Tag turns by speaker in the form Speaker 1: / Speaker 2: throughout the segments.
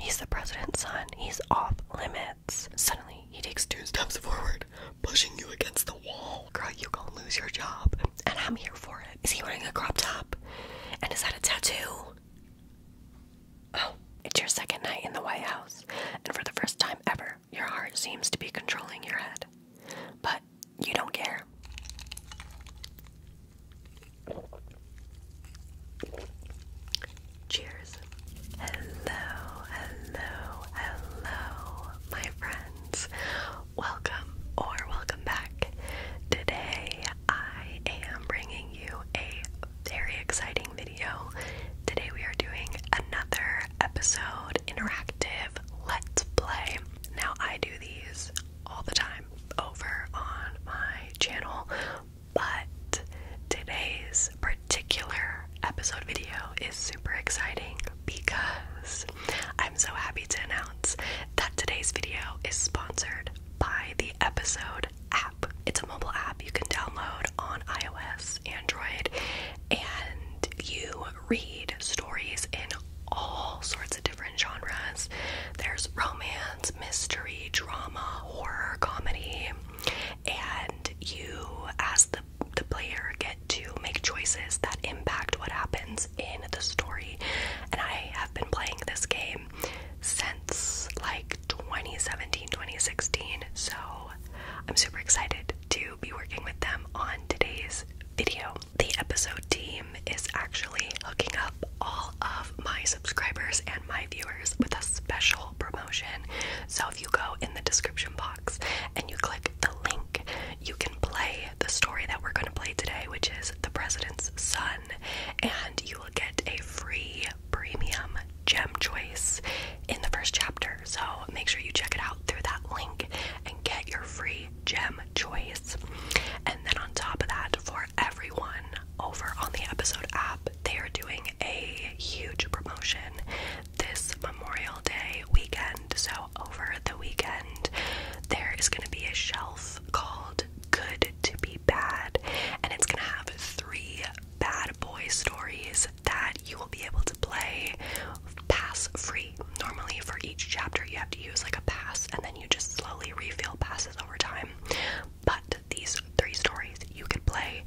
Speaker 1: He's the president's son. He's off limits. Suddenly, he takes two steps forward, pushing you against the wall. Girl, you are gonna lose your job, and I'm here for it. Is he wearing a crop top? And is that a tattoo? Oh, it's your second night in the White House, and for the first time ever, your heart seems to be controlling your head. But you don't care. Cheers. Hello, hello, hello, my friends. Welcome or welcome back. Today I am bringing you a very exciting video. Today we are doing another episode interactive let's play. Now I do these all the time over on my channel, but today's particular episode video is super exciting because I'm so happy to announce that today's video is sponsored by the Episode app. It's a mobile app you can download on iOS, Android, and you read stories in all sorts of different genres. There's romance, mystery, drama, horror, comedy, and you, as the the player, get to make choices that impact what happens in the story. And I have been playing this game since like 2017, 2016. So I'm super excited to be working with them on today's video. The episode team is actually hooking up all of my subscribers and my viewers with a special promotion. So if you go in the description box and you click the link, you can play the story that we're going to play today, which is The President's Son, and you will get a free premium gem choice in the first chapter. So make sure you check it out through that link and get your free gem choice. And then on top of that, for everyone over on the episode app. They are doing a huge promotion this Memorial Day weekend. So, over the weekend, there is going to be a shelf called Good to Be Bad, and it's going to have three bad boy stories that you will be able to play pass free. Normally, for each chapter, you have to use like a pass and then you just slowly refill passes over time. But these three stories you can play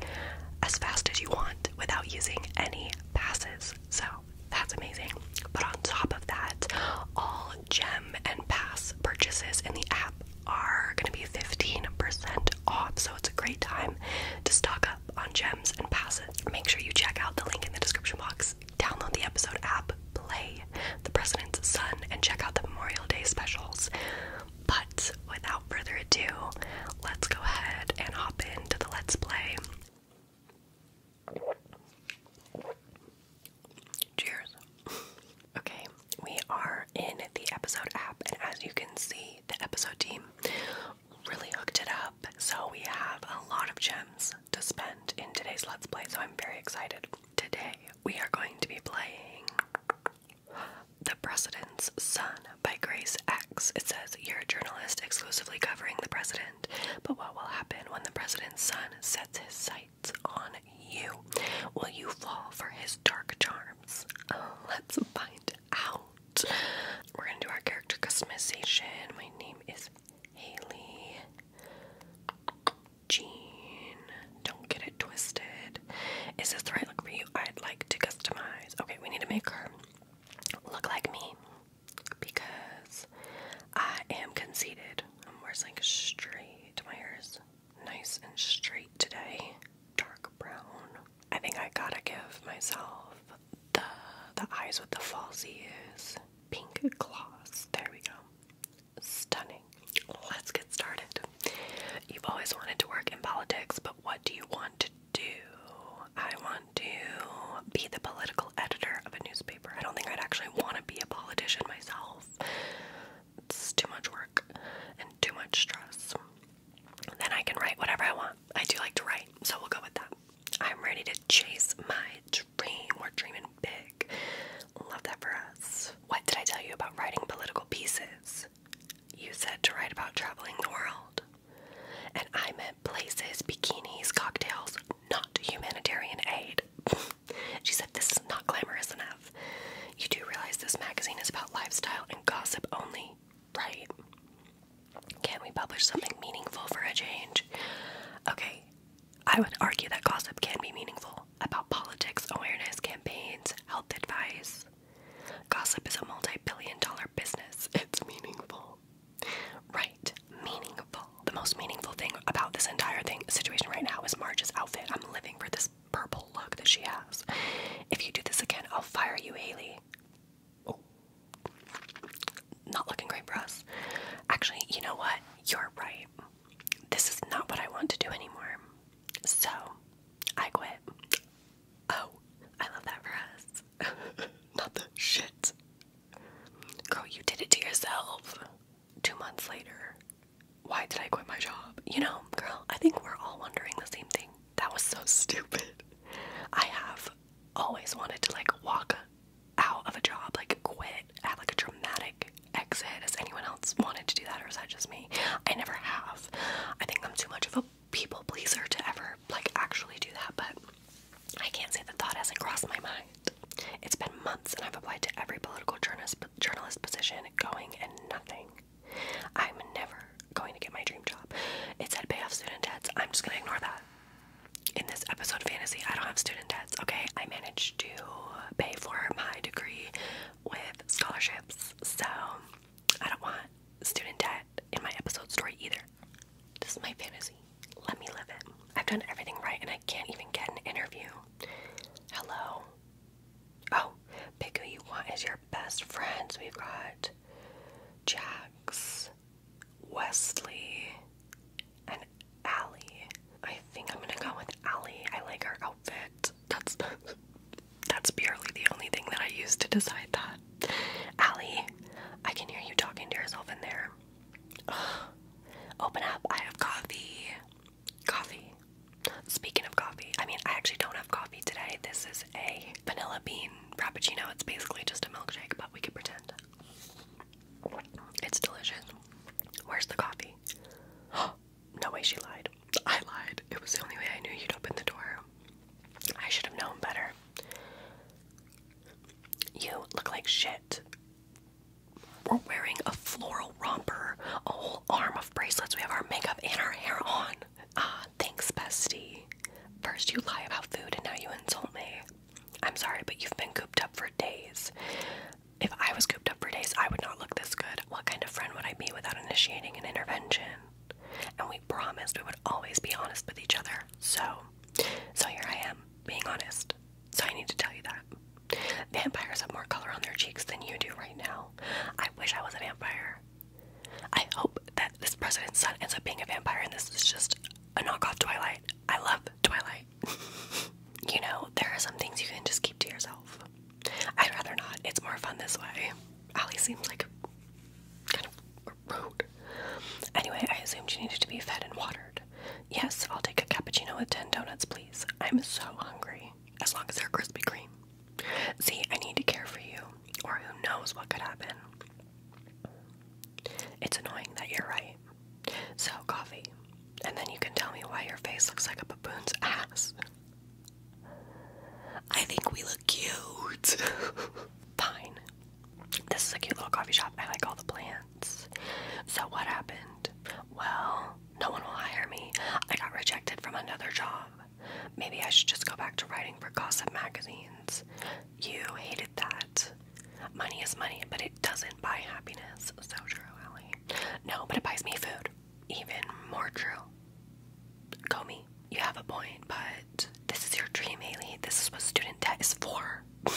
Speaker 1: as fast as you want without using any passes. So that's amazing. But on top of that, all gem and pass purchases in the app are going to be 15% off. So it's a great time to stock up on gems and passes. Make sure you check out the link in the description box. Download the episode app, play The President's Son, and check out the Memorial Day specials. But without further ado, let's go ahead and hop into the Let's Play. Cheers. Okay, we are in the episode app, and as you can see, the episode team really hooked it up. So we have a lot of gems to spend in today's Let's Play, so I'm very excited. Today, we are going to be playing the President's Son by Grace X. It says, You're a journalist exclusively covering the president, but what will happen when the president's son sets his sights on you? Will you fall for his dark charms? let's find out. We're gonna do our character customization. My name is Haley. Jean. Don't get it twisted. Is this the right look for you? I'd like to customize. Okay, we need to make her look like me because I am conceited. I'm wearing straight to My ears, nice and straight today. Dark brown. I think I gotta give myself the the eyes with the falsies. Pink gloss. There we go. Stunning. Let's get started. You've always wanted to work in politics, but what do you want to do? I want to be the political editor of a newspaper. I don't think I'd actually want to be a politician myself. It's too much work and too much stress. Then I can write whatever I want. I do like to write, so we'll go with that. I'm ready to chase my dream. We're dreaming big. Love that for us. What did I tell you about writing political pieces? You said to write about traveling the world. And I meant places, bikinis, cocktails, not humanitarian aid. she said this is not glamorous enough. You do realize this magazine is about lifestyle and gossip only, right? Can't we publish something meaningful for a change? Okay, I would argue that gossip can be meaningful about politics, awareness, campaigns, health advice. Gossip is a multi billion dollar business. It's meaningful. Right, meaningful. The most meaningful thing about this entire thing situation right now is Marge's outfit. I'm living for this purple look that she has. If you do this again, I'll fire you, Haley. Oh. Not looking great for us. Actually, you know what? You're right. This is not what I want to do anymore. So, I quit. Oh, I love that for us. Not the shit. Girl, you did it to yourself. Two months later, why did I quit my job? You know, girl, I think we're all wondering the same thing. That was so stupid. I have always wanted to like walk out of a job, like quit, have like a dramatic exit. Has anyone else wanted to do that or is that just me? I never have. I think I'm too much of a people pleaser to ever like actually do that, but I can't say the thought hasn't crossed my mind. It's been months and I've applied to every political journalist journalist position going and nothing. I'm never going to get my dream job. It said pay off student debts. I'm just gonna ignore that. In this episode fantasy, I don't have student debts, okay? I managed to pay for my degree with scholarships. So I don't want student debt in my episode story either. This is my fantasy. Let me live it. I've done everything right and I can't even get an interview. Hello. Oh, pick who you want as your best friends. We've got Jacks, Wesley, and Allie. I think I'm gonna go with Allie. I like her outfit that's that's that's the only thing that I use to decide that. Allie, I can hear you talking to yourself in there. Open up. I have coffee. Coffee. Speaking of coffee, I mean, I actually don't have coffee today. This is a vanilla bean frappuccino. It's basically just a milkshake, but we could pretend. It's delicious. Where's the coffee? no way she lied. I lied. It was the only way I knew you'd open the door. I should have known better. You look like shit. We're wearing a floral romper, a whole arm of bracelets. We have our makeup and our hair on. Ah, thanks, bestie. First, you lie about food and now you insult me. I'm sorry, but you've been cooped up for days. If I was cooped up for days, I would not look this good. What kind of friend would I be without initiating an intervention? And we promised we would always be honest with each other. So, so here I am, being honest. So I need to tell you that. Vampires have more color on their cheeks than you do right now. I wish I was a vampire. I hope that this president's son ends up being a vampire and this is just a knockoff Twilight. I love Twilight. you know, there are some things you can just keep to yourself. I'd rather not. It's more fun this way. Allie seems like a kind of a rude. Anyway, I assumed you needed to be fed and watered. Yes, I'll take a cappuccino with ten donuts, please. I'm so hungry. As long as they're Krispy Kreme. See, I need to care for you, or who knows what could happen. It's annoying that you're right. So, coffee. And then you can tell me why your face looks like a baboon's ass. I think we look cute. Fine. This is a cute little coffee shop. I like all the plants. So, what happened? Well, no one will hire me. I got rejected from another job. Maybe I should just go back to writing for gossip magazines. You hated that. Money is money, but it doesn't buy happiness. So true, Ally. No, but it buys me food. Even more true. Go me you have a point, but this is your dream, Haley. This is what student debt is for.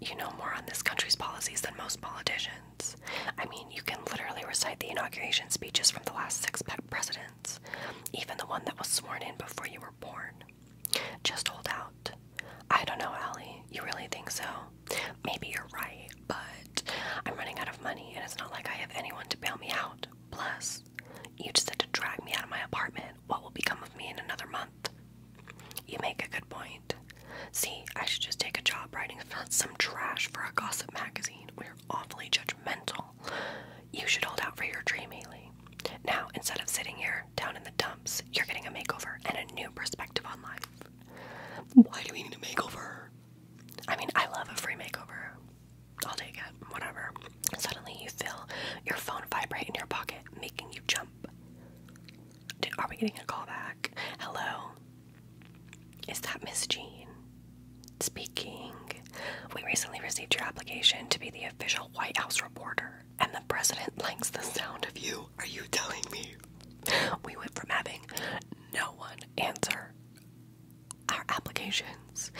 Speaker 1: you know more on this country's policies than most politicians. I mean, you can literally recite the inauguration speeches from the last six presidents, even the one that was sworn in before you were born. Just hold out. I don't know, Allie. You really think so? Maybe you're right, but I'm running out of money, and it's not like I have anyone to bail me out. Plus, you just had to drag me out of my apartment. What will become of me in another month? You make a good point. See, I should just take a job writing some trash for a gossip magazine. We're awfully judgmental. You should hold out for your dream, Haley. Now, instead of sitting here down in the dumps, you're getting a makeover and a new perspective on life. Why do we need a makeover? I mean, I love a free makeover. I'll take it, whatever. Suddenly you feel your phone vibrate in your pocket, making you jump. are we getting a call back? Hello? Is that Miss Jean? Speaking. We recently received your application to be the official White House reporter, and the president likes the sound of you. Are you telling me? We went from having no one answer our applications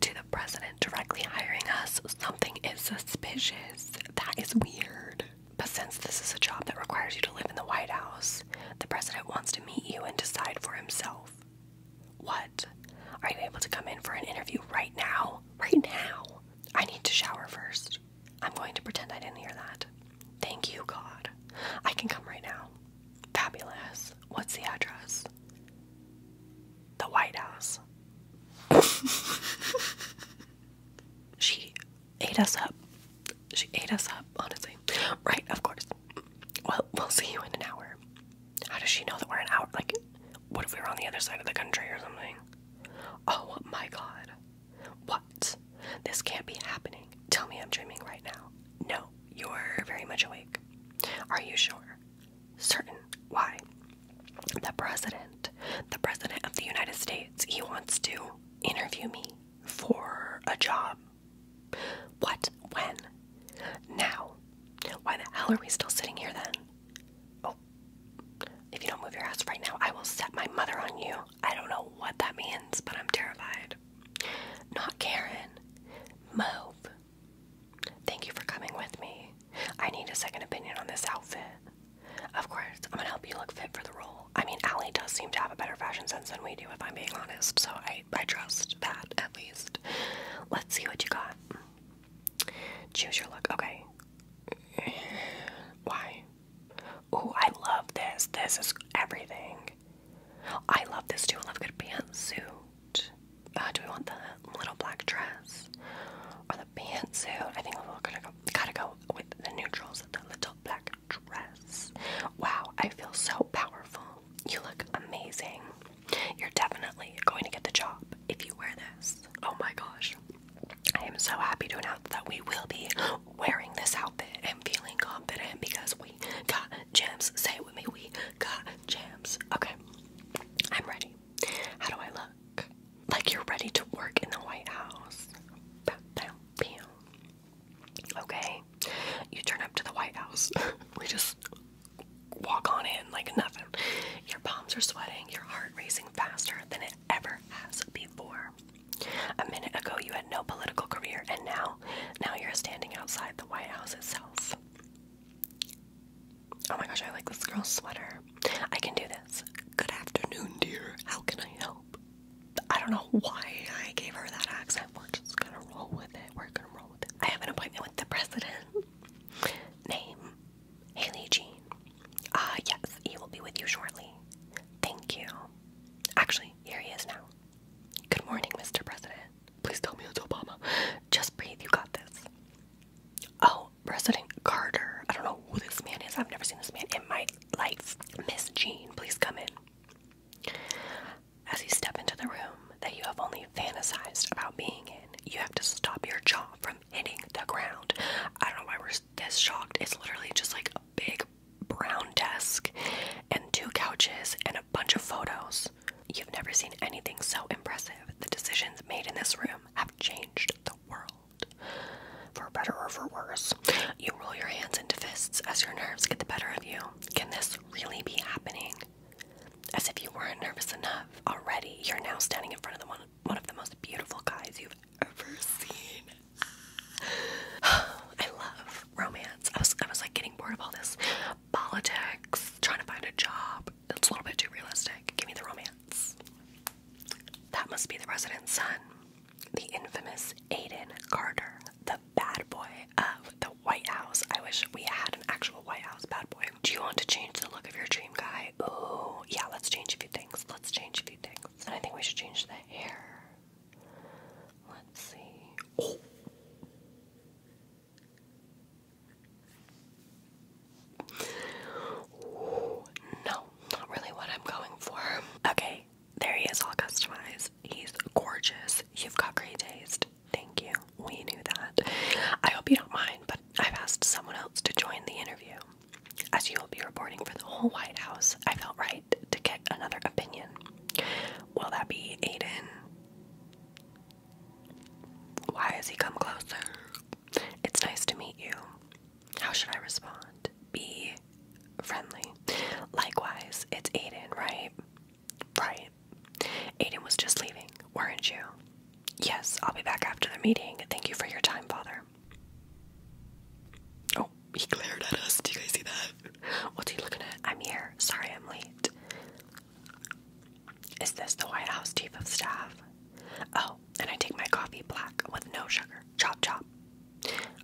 Speaker 1: to the president directly hiring us, something is suspicious. That is weird. But since this is a job that requires you to live in the White House, the president wants to meet you and decide for himself. What? Are you able to come in for an interview right now? Right now? I need to shower first. I'm going to pretend I didn't hear that. Thank you, God. I can come right now. Fabulous. What's the address? The White House. she ate us up. She ate us up, honestly. Right, of course. Well, we'll see you in an hour. How does she know that we're an hour? Like, what if we were on the other side of the country or something? Oh my god. What? This can't be happening. Tell me I'm dreaming right now. No, you're very much awake. Are you sure? certain why the president, the president of the United States, he wants to interview me for a job. What? When? Now? Why the hell are we still sitting here then? Oh, if you don't move your ass right now, I will set my mother on you. I don't know what that means, but I'm terrified. Not Karen. Move. Thank you for coming with me. I need a second opinion on this outfit. Of course, I'm gonna help you look fit for the role. I mean, Allie does seem to have a better fashion sense than we do, if I'm being honest, so I, I trust that at least. Let's see what you got. Choose your look. Okay. Why? Ooh, I love this. This is everything. I love this too. I love good pants, too. Uh, do we want the little black dress or the pantsuit? I think we're all gonna go, gotta go with the neutrals, the little black dress. Wow, I feel so powerful. You look amazing. You're definitely going to get the job if you wear this. Oh my gosh. I am so happy to announce that we will be wearing this outfit and feeling confident because we got gems. Say it with me, we got gems. Okay, I'm ready. How do I look? Like you're ready to work in the White House. Okay. You turn up to the White House. we just walk on in like nothing. Your palms are sweating, your heart racing faster than it ever has before. A minute ago you had no political career and now now you're standing outside the White House itself. Oh my gosh, I like this girl's sweater. I can do this. Good afternoon, dear. How can I help? I don't know why I gave her that accent. We're just gonna roll with it. We're gonna roll with it. I have an appointment with the president. Name Haley Jean. Ah, yes, he will be with you shortly. Thank you. Actually, here he is now. Good morning, Mr. President. Please tell me it's Obama. Just breathe, you got this. Oh, President Carter. I don't know who this man is. I've never seen this man in my life. Miss Jean, please come in. As you step into the room that you have only fantasized about being in, you have to stop your jaw from hitting the ground. I don't know why we're this shocked. It's literally just like a big brown desk and two couches and a bunch of photos. You've never seen anything so impressive. The decisions made in this room have changed the world. For better or for worse, you roll your hands into fists as your nerves get the better of you. Can this really be happening? As if you weren't nervous enough already, you're now standing in front of the one, one of the most beautiful guys you've ever seen. I love romance. I was I was like getting bored of all this politics, trying to find a job, that's a little bit too realistic. Give me the romance. That must be the president's son, the infamous Aiden Carter, the bad boy of the White House. I wish we had an actual White House bad boy. Do you want to change the look of your dream guy? Oh, yeah, let's change a few things. Let's change a few things. I think we should change the hair. Let's see. Oh no, not really what I'm going for. Okay, there he is, all customized. He's gorgeous. You've got great taste. Thank you. We knew that. I hope you don't mind, but I've asked someone else to join the interview. As you will be reporting for the whole White House, I felt right to get another opinion. Will that be Aiden? Why has he come closer? It's nice to meet you. How should I respond? Be friendly. Likewise, it's Aiden, right? Right. Aiden was just leaving, weren't you? Yes, I'll be back after the meeting. Thank you for your time, Father. Oh, he glared at us. Do you guys see that? What's he looking at? I'm here. Sorry I'm late. Is this the White House Chief of Staff? Oh, and I take my coffee black with no sugar. Chop chop.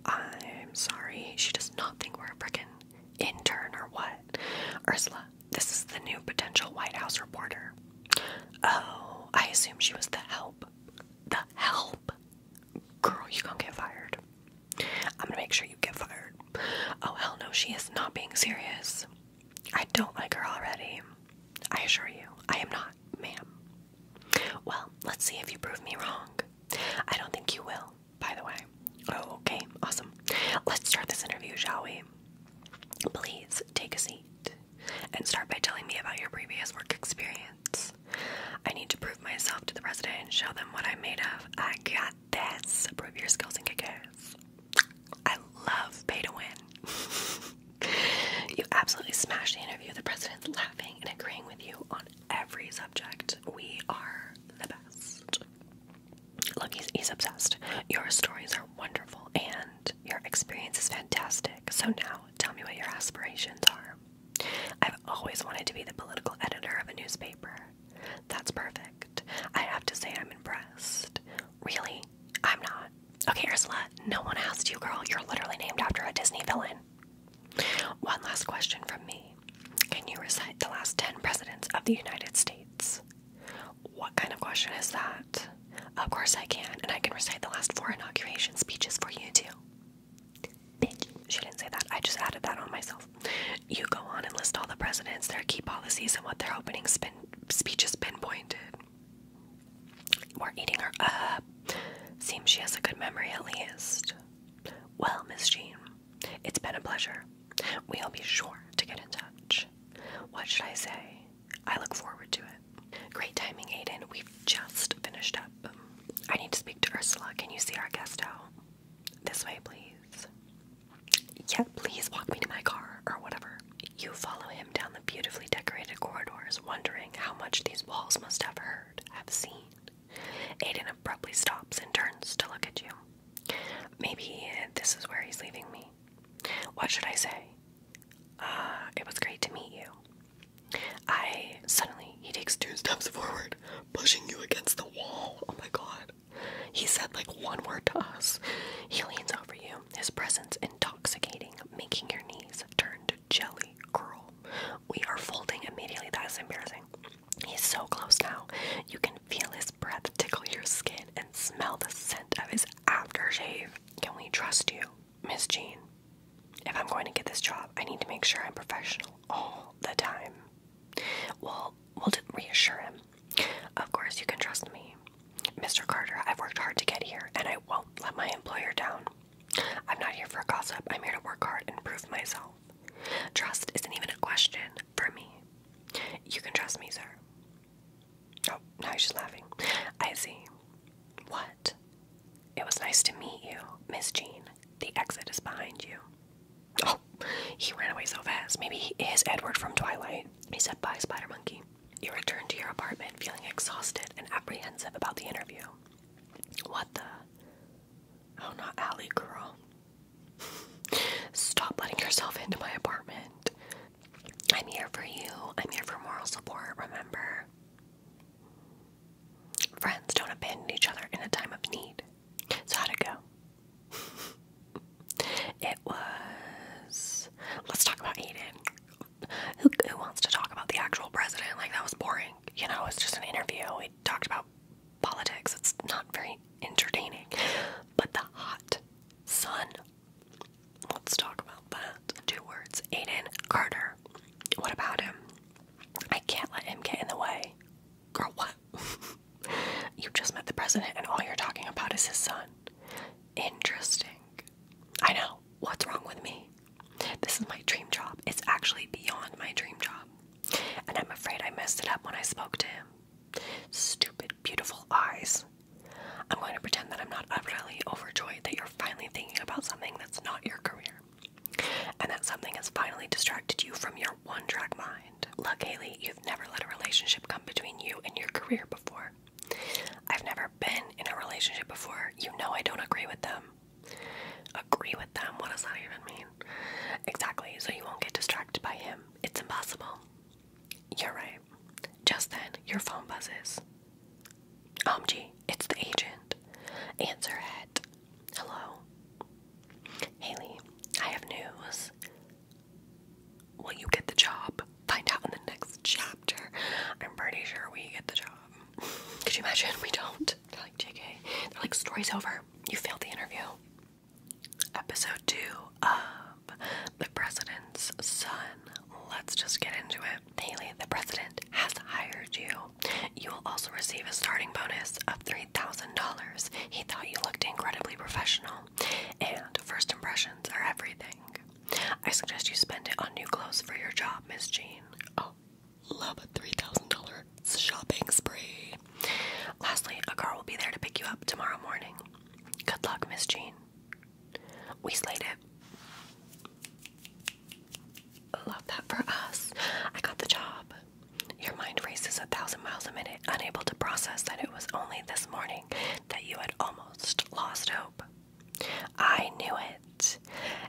Speaker 1: I'm sorry, she does not think we're a frickin' intern or what. Ursula, this is the new potential White House reporter. Oh, I assume she was the help. The help? Girl, you gonna get fired. I'm gonna make sure you get fired. Oh, hell no, she is not being serious. I don't like her already. I assure you, I am not, ma'am. Well, let's see if you prove me wrong. I don't think you will, by the way. Oh, okay, awesome. Let's start this interview, shall we? Please take a seat and start by telling me about your previous work experience. I need to prove myself to the president and show them what I'm made of. I got this. Prove your skills and kick ass. I love pay win. you absolutely smashed the interview. The president's laughing and agreeing with you on every subject. We are the best. Look, he's, he's obsessed. Your stories are wonderful and your experience is fantastic. So now tell me what your aspirations are. I've always wanted to be the political editor of a newspaper. That's perfect. I have to say, I'm impressed. Really? I'm not. Okay, Ursula, no one asked you, girl. You're literally named after a Disney villain. One last question from me. Can you recite the last 10 presidents of the United States? What kind of question is that? Of course I can, and I can recite the last four inauguration speeches for you too. Bitch. She didn't say that. I just added that on myself. You go on and list all the presidents, their key policies, and what their opening been speeches pinpointed. We're eating her up. Seems she has a good memory at least. Well, Miss Jean, it's been a pleasure. We'll be sure to get in touch. What should I say? I look forward to it. Great timing, Aiden. We've just finished up. I need to speak to Ursula. Can you see our guest out? This way, please. Yeah, please walk me to my car, or whatever. You follow him down the beautifully decorated corridors, wondering how much these walls must have heard, have seen. Aiden abruptly stops and turns to look at you. Maybe this is where he's leaving me. What should I say? Uh, it was great to meet you. I. Suddenly, he takes two steps forward, pushing you against the wall. Oh my god. He said like one word to us. He leans over you his presence intoxicating, making your knees turn to jelly, girl. We are folding immediately. That is embarrassing. He's so close now. You can feel his breath tickle your skin and smell the scent of his aftershave. Can we trust you, Miss Jean? If I'm going to get this job, I need to make sure I'm professional all the time. Well, we'll reassure him of course, you can trust me. Mr. Carter, I've worked hard to get here, and I won't let my employer down. I'm not here for gossip, I'm here to work hard and prove myself. Trust isn't even a question for me. You can trust me, sir. Oh, now she's laughing. I see. What? It was nice to meet you, Miss Jean. The exit is behind you. Oh, he ran away so fast. Maybe he is Edward from Twilight. He said bye, Spider Monkey. You return to your apartment feeling exhausted and apprehensive about the interview. What the? Oh, not Ally girl. Stop letting yourself into my apartment. I'm here for you. I'm here for moral support, remember? Friends don't abandon each other in a time of need. So, how'd it go? It was. Let's talk about Aiden. Who, wants to talk about the actual president? Like, that was boring. You know, it's just an interview. We talked about politics. It's not very entertaining. But the hot sun. Let's talk about that. Two words Aiden Carter. What about him? I can't let him get in the way. Girl, what? you just met the president, and all you're talking about is his son. Interesting. I know. What's wrong with me? This is my dream job. It's actually beyond my dream job. And I'm afraid I messed it up when I spoke to him. Stupid, beautiful eyes. I'm going to pretend that I'm not utterly overjoyed that you're finally thinking about something that's not your career. And that something has finally distracted you from your one track mind. Look, Haley, you've never let a relationship come between you and your career before. I've never been in a relationship before. You know I don't agree with them. Agree with them? What does that even mean? Exactly, so you won't get distracted by him. It's impossible. You're right. Just then, your phone buzzes. OMG, it's the agent. Answer it. Hello. Haley, I have news when you get the job, find out in the next chapter. I'm pretty sure we get the job. Could you imagine? We don't. They're like, JK. like, story's over. You failed the interview. Episode 2 of The President's Son. Let's just get into it. Haley, the president, has hired you. You will also receive a starting bonus of $3,000. He thought you looked incredibly professional, and first impressions are everything. I suggest you spend it on new clothes for your job, Miss Jean. Oh, love a $3,000 shopping spree. Lastly, a car will be there to pick you up tomorrow morning. Good luck, Miss Jean. We slayed it. Love that for us. I got the job. Your mind races a thousand miles a minute, unable to process that it was only this morning that you had almost lost hope. I knew it.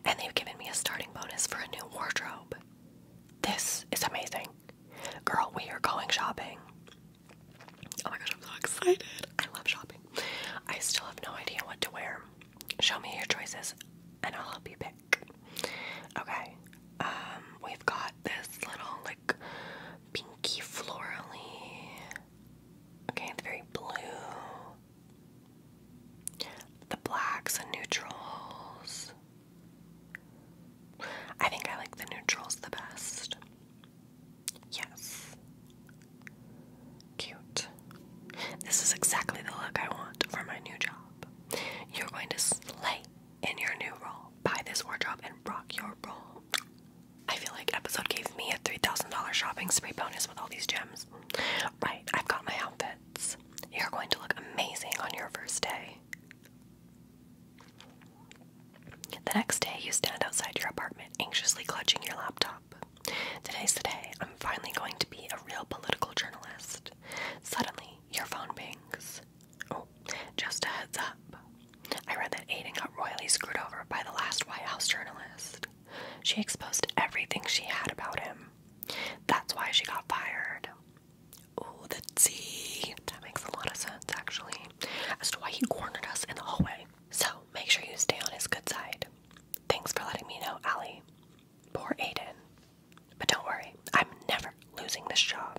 Speaker 1: And they've given me a starting bonus for a new wardrobe. This is amazing. Girl, we are going shopping. Oh my gosh, I'm so excited. I love shopping. I still have no idea what to wear. Show me your choices and I'll help you pick. Okay. Um, we've got this little like pinky florally Okay, the very blue. The blacks and neutrals. I think I like the neutrals the best. Yes. Cute. This is exactly the look I want for my new job. You're going to slay in your new role. Buy this wardrobe and rock your role. I feel like episode gave me a $3,000 shopping spree bonus with all these gems. Right, I've got my outfits. You're going to look amazing on your first day. The next day, you stand outside your apartment, anxiously clutching your laptop. Today's the day I'm finally going to be a real political journalist. Suddenly, your phone pings. Oh, just a heads up. I read that Aiden got royally screwed over by the last White House journalist. She exposed everything she had about him. That's why she got fired. Oh, the T. That makes a lot of sense, actually, as to why he cornered us in the hallway. So make sure you stay on his good side. Thanks for letting me know, Allie. Poor Aiden. But don't worry, I'm never losing this job.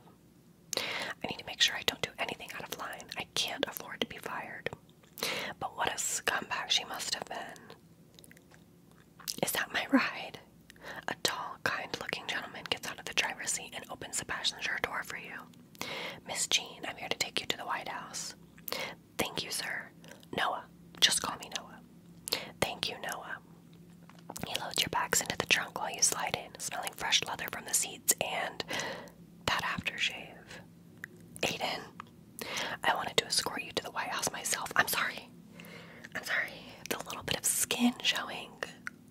Speaker 1: I need to make sure I don't do anything out of line. I can't afford to be fired. But what a scumbag she must have been. Is that my ride? A tall, kind looking gentleman gets out of the driver's seat and opens the passenger door for you. Miss Jean, I'm here to take you to the White House. Thank you, sir. Noah, just call me Noah. Thank you, Noah. He loads your bags into the trunk while you slide in, smelling fresh leather from the seats and that aftershave. Aiden, I wanted to escort you to the White House myself. I'm sorry. I'm sorry. The little bit of skin showing.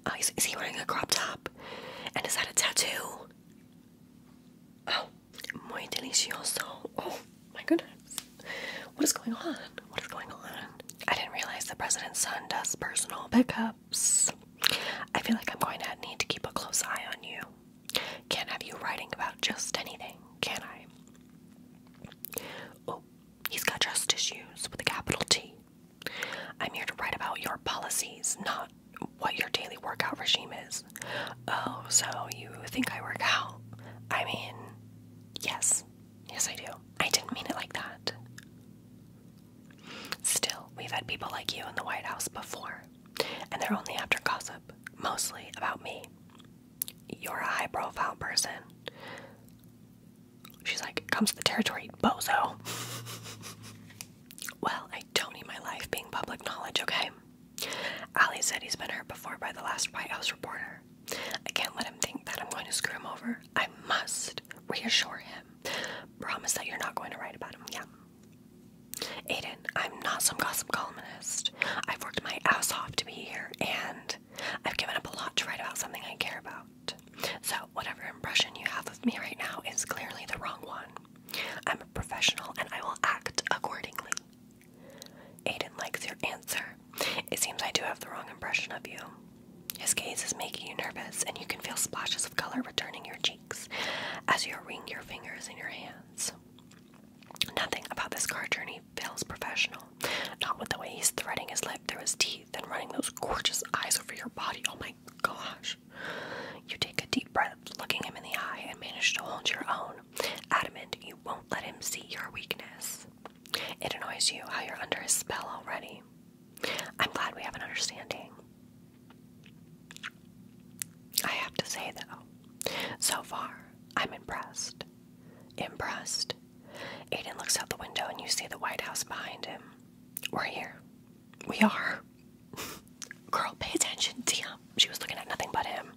Speaker 1: Oh, is, is he wearing a crop top? And is that a tattoo? Oh, muy delicioso. Oh, my goodness. What is going on? What is going on? I didn't realize the president's son does personal pickups. I feel like I'm going to need to keep a close eye on you. Can't have you writing about just anything, can I? Oh, he's got trust issues with a capital T. I'm here to write about your policies, not what your daily workout regime is. Oh, so you think I work out? I mean, yes. Yes, I do. I didn't mean it like that. Still, we've had people like you in the White House before and they're only after gossip, mostly about me. You're a high profile person. She's like, comes to the territory, bozo. well, I don't need my life being public knowledge, okay? Ali said he's been hurt before by the last White House reporter. I can't let him think that I'm going to screw him over. I must reassure him. Promise that you're not going to write about him. Yeah. Aiden, I'm not some gossip columnist. I've worked my ass off to be here, and I've given up a lot to write about something I care about. So, whatever impression you have of me right now is clearly the wrong one. I'm a professional, and I will act accordingly. Aiden likes your answer. It seems I do have the wrong impression of you. His gaze is making you nervous, and you can feel splashes of color returning your cheeks as you wring your fingers in your hands. Nothing about this car journey feels professional. Not with the way he's threading his lip through his teeth and running those gorgeous eyes over your body. Oh my gosh. You take a deep breath, looking him in the eye, and manage to hold your own. Adamant, you won't let him see your weakness. It annoys you how you're under his spell already. I'm glad we have an understanding. I have to say, though, so far, I'm impressed. Impressed. Aiden looks out the window and you see the White House behind him. We're here. We are. Girl, pay attention, Tia. She was looking at nothing but him.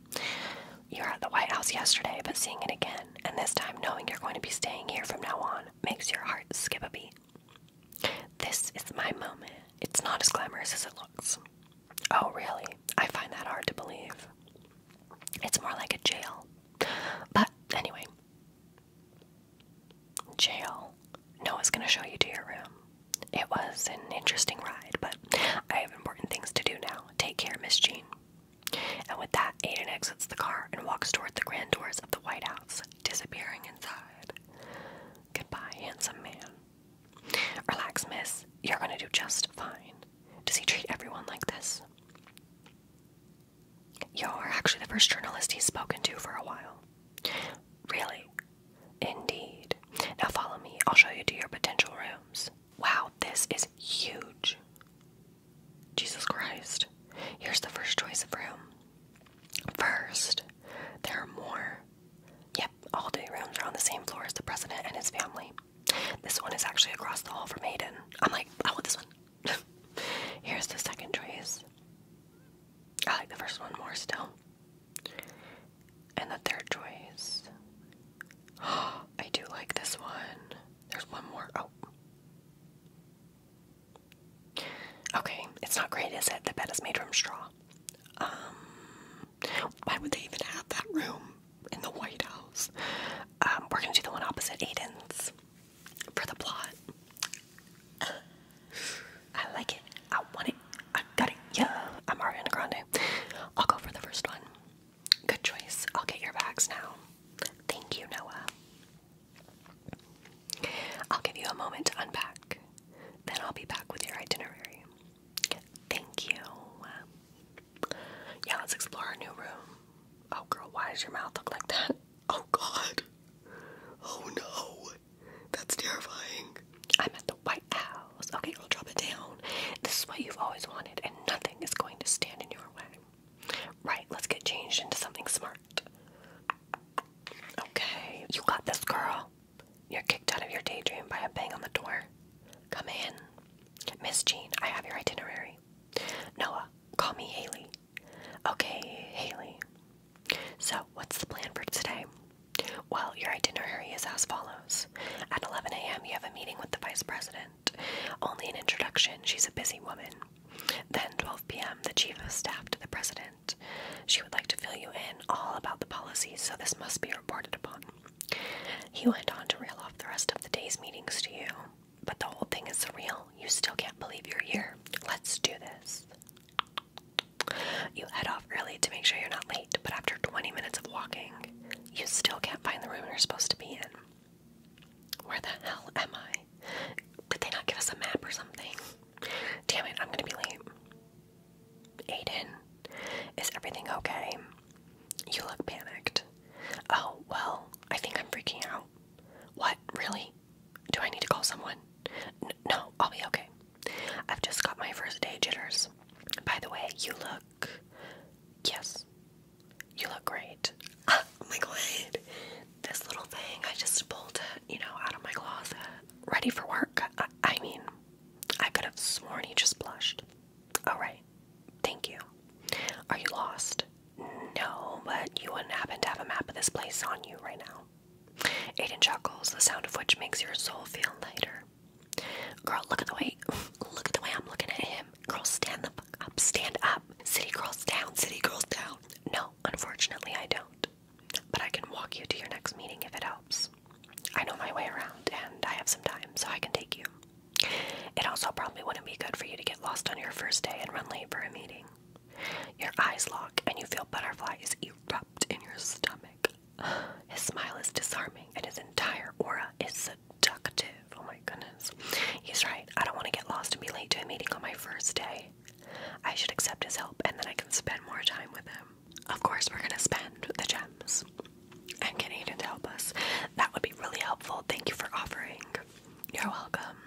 Speaker 1: You were at the White House yesterday, but seeing it again, and this time knowing you're going to be staying here from now on, makes your heart skip a beat. This is my moment. It's not as glamorous as it looks. Oh, really? I find that hard to believe. It's more like a jail. But anyway, jail. Noah's gonna show you to your room. It was an interesting ride, but I have important things to do now. Take care, Miss Jean. And with that, Aiden exits the car and walks toward the grand doors of the White House, disappearing inside. Goodbye, handsome man. Relax, miss. You're gonna do just fine. Does he treat everyone like this? You're actually the first journalist he's spoken to for a while. Really? Indeed. Now follow me. I'll show you to your potential rooms. Wow, this is huge. Jesus Christ. Here's the first choice of room. First, there are more Yep, all day rooms are on the same floor as the president and his family. This one is actually across the hall from Aiden. I'm like, I want this one. Here's the second choice. I like the first one more still. And the third choice. I do like this one. There's one more. Oh. Okay, it's not great, is it? The bed is made from straw. Um, why would they even have that room in the White House? Um, we're gonna do the one opposite Aiden's for the plot. I like it. I want it. I got it. Yeah, I'm Ariana Grande. I'll go for the first one. Good choice. I'll get your bags now. Thank you, Noah. I'll give you a moment to unpack. Then I'll be back with your itinerary. Thank you. Yeah, let's explore our new room. Oh, girl, why does your mouth look like that? Oh, God. Oh, no. That's terrifying. I'm at the White House. Okay, girl, drop it down. This is what you've always wanted, and nothing is going to stand in your way. Right, let's get changed into something smart. Okay, you got this, girl. You're kicked out of your daydream by a bang on the door. Come in. Miss Jean, I have your itinerary. Noah, call me Haley. Okay, Haley. So, what's the plan for today? Well, your itinerary is as follows. At 11 a.m., you have a meeting with the vice president. Only an introduction, she's a busy woman. Then, 12 p.m., the chief of staff to the president. She would like to fill you in all about the policies, so this must be reported upon. He went on to rail off the rest of the day's meetings to you. But the whole thing is surreal. You still can't believe you're here. Let's do this. You head off early to make sure you're not late, but after 20 minutes of walking, you still can't find the room you're supposed to be in. Where the hell am I? Did they not give us a map or something? Damn it, I'm gonna be late. Aiden, is everything okay? You look panicked. Oh, well, I think I'm freaking out. What? Really? Do I need to call someone? no, I'll be okay. I've just got my first day jitters. By the way, you look. Yes. You look great. Oh my god. This little thing, I just pulled it, you know, out of my closet. Ready for work? I mean, I could have sworn he just blushed. Alright, thank you. Are you lost? No, but you wouldn't happen to have a map of this place on you right now. Aiden chuckles, the sound of which makes your soul feel lighter. Girl, look at the way look at the way I'm looking at him. Girl, stand the up, stand up. City girls down, city girls down. No, unfortunately I don't. But I can walk you to your next meeting if it helps. I know my way around and I have some time, so I can take you. It also probably wouldn't be good for you to get lost on your first day and run late for a meeting. Your eyes lock and you feel butterflies erupt in your stomach. His smile is disarming and his entire aura is seductive. Oh my goodness. He's right. I don't want to get lost and be late to a meeting on my first day. I should accept his help and then I can spend more time with him. Of course, we're going to spend the gems and Canadian to help us. That would be really helpful. Thank you for offering. You're welcome.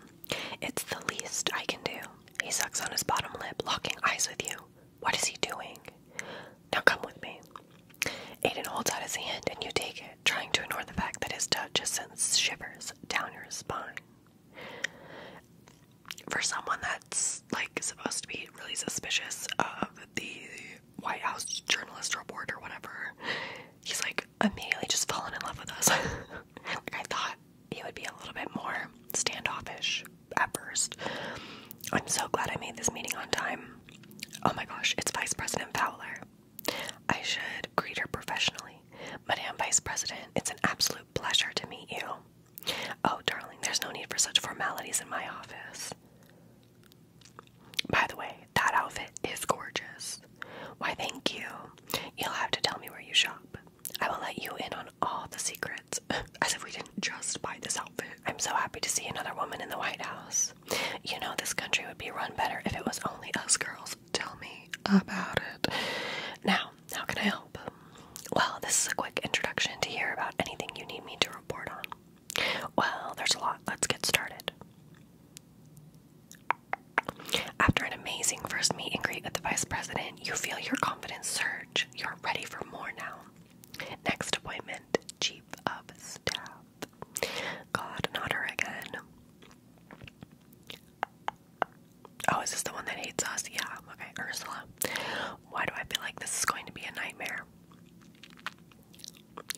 Speaker 1: It's the least I can do. He sucks on his bottom lip, locking eyes with you. What is he doing? Now come with me. Aiden holds out his hand and you take it, trying to ignore the fact that his touch has sent shivers down your spine. For someone that's like supposed to be really suspicious of the White House journalist report or whatever, he's like immediately just falling in love with us. I thought he would be a little bit more standoffish at first. I'm so glad I made this meeting on time. Oh my gosh, it's Vice President Fowler. I should greet her professionally. Madame Vice President, it's an absolute pleasure to meet you. Oh, darling, there's no need for such formalities in my office. By the way, that outfit is gorgeous. Why, thank you. You'll have to tell me where you shop. I will let you in on all the secrets. As if we didn't just buy this outfit. I'm so happy to see another woman in the White House. You know, this country would be run better if it was only us girls. Tell me about it. Now, how can I help? Well, this is a quick introduction to hear about anything you need me to report on. Well, there's a lot. Let's get started. After an amazing first meet and greet with the vice president, you feel your confidence surge. You're ready for more now. Next appointment, chief of staff. God, not her again. Oh, is this the one that hates us? Yeah, okay, Ursula. Why do I feel like this is going to be a nightmare?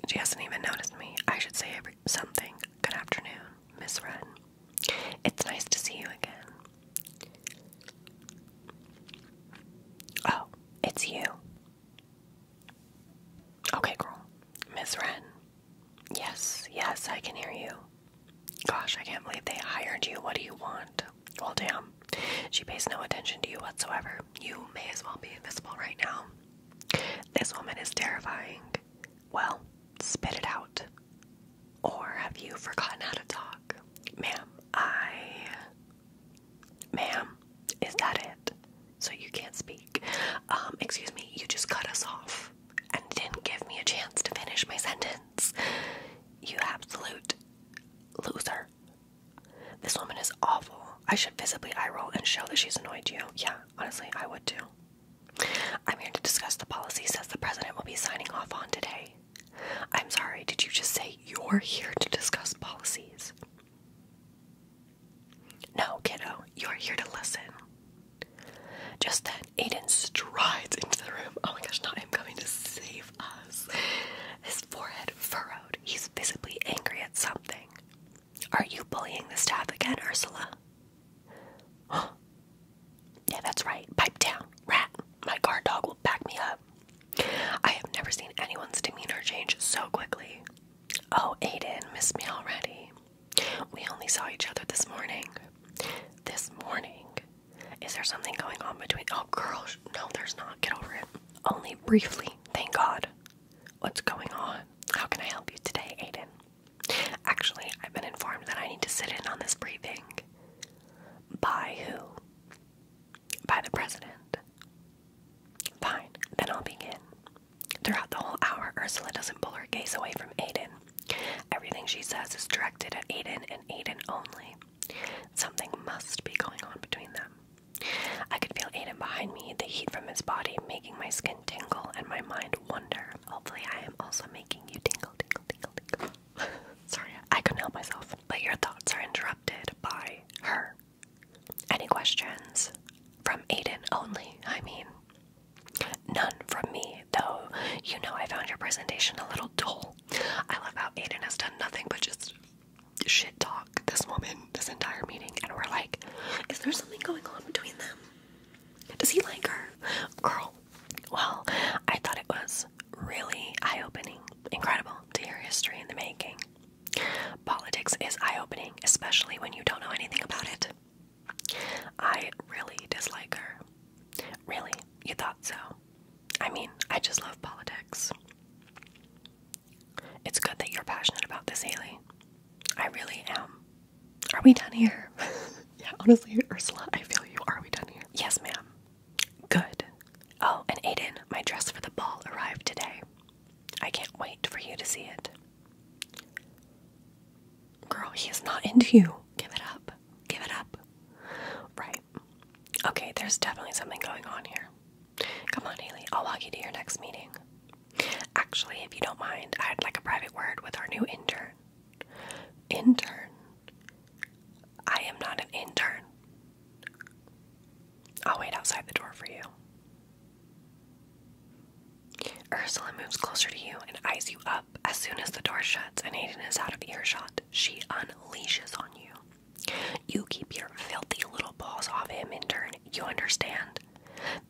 Speaker 1: She hasn't even noticed me. I should say something. Good afternoon, Miss Wren. It's nice to see you again. Oh, it's you. Okay, girl. Miss Wren. Yes, yes, I can hear you. Gosh, I can't believe they hired you. What do you want? Well, damn. She pays no attention to you whatsoever. You may as well be invisible right now. This woman is terrifying. Well, spit it out. Or have you forgotten how to talk? Ma'am, I. Ma'am, is that it? So you can't speak. Um, excuse me, you just cut us off and didn't give me a chance to finish my sentence. You absolute loser. This woman is awful. I should visibly eye roll and show that she's annoyed you. Yeah, honestly, I would too. I'm here to discuss the policy says the president will be signing off on today. I'm sorry, did you just say you're here to discuss policies? No, kiddo, you're here to listen. Just then, Aiden strides into the room. Oh my gosh, not him coming to save us. His forehead furrowed. He's visibly angry at something. Are you bullying the staff again, Ursula? Huh. Yeah, that's right. Pipe down, rat. My guard dog will back me up. I have never seen anyone's demeanor change so quickly. Oh, Aiden, miss me already. We only saw each other this morning. This morning? Is there something going on between. Oh, girls. no, there's not. Get over it. Only briefly, thank God. What's going on? How can I help you today, Aiden? Actually, I've been informed that I need to sit in on this briefing. By who? By the president. Fine, then I'll begin. Throughout the whole hour, Ursula doesn't pull her gaze away from Aiden. Everything she says is directed at Aiden and Aiden only. Something must be going on between them. I could feel Aiden behind me, the heat from his body making my skin tingle and my mind wonder. Hopefully, I am also making you tingle, tingle, tingle, tingle. Sorry, I couldn't help myself. But your thoughts are interrupted by her. Any questions? From Aiden only, I mean. None from me, though. You know, I found your presentation a little dull. I love how Aiden has done nothing but just shit talk this woman this entire meeting, and we're like, is there something going on between them? Does he like her? Girl, well, I thought it was really eye opening, incredible to hear history in the making. Politics is eye opening, especially when you don't know anything about it. I really dislike her. Really? You thought so? I mean, I just love politics. It's good that you're passionate about this, Haley. I really am. Are we done here? yeah, honestly, Ursula, I feel you. Are we done here? Yes, ma'am. Good. Oh, and Aiden, my dress for the ball arrived today. I can't wait for you to see it. Girl, he is not into you. Give it up. Give it up. Right. Okay, there's definitely something going on here. Come on, Haley. I'll walk you to your next meeting. Actually, if you don't mind, I'd like a private word with our new intern. Intern? I am not an intern. I'll wait outside the door for you. Ursula moves closer to you and eyes you up. As soon as the door shuts and Aiden is out of earshot, she unleashes on you. You keep your filthy little balls off him, intern. You understand?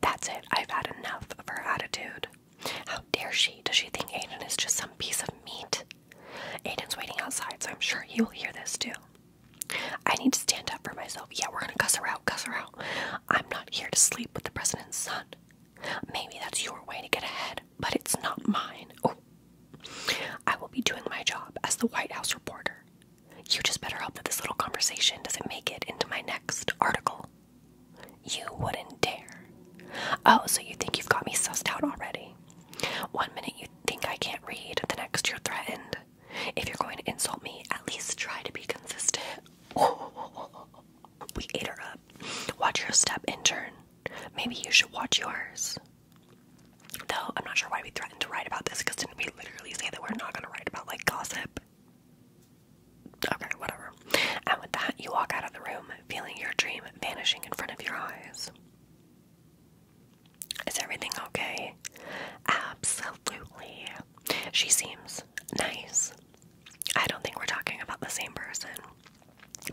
Speaker 1: That's it. I've had enough of her attitude. How dare she? Does she think Aiden is just some piece of meat? Aiden's waiting outside, so I'm sure he will hear this too. I need to stand up for myself. Yeah, we're gonna cuss her out, cuss out. I'm not here to sleep with the president's son. Maybe that's your way to get ahead, but it's not mine. Oh. I will be doing my job as the White House reporter. You just better hope that this little conversation doesn't make it into my next article. You wouldn't dare. Oh, so you think you've got me sussed out already? One minute you think I can't read, the next you're threatened. If you're going to insult me, at least try to be consistent. we ate her up. Watch your step, intern. Maybe you should watch yours. Though I'm not sure why we threatened to write about this because didn't we literally say that we're not going to write about like gossip? Okay, whatever. And with that, you walk out of the room, feeling your dream vanishing in front of your eyes. Is everything okay? Absolutely. She seems nice. I don't think we're talking about the same person,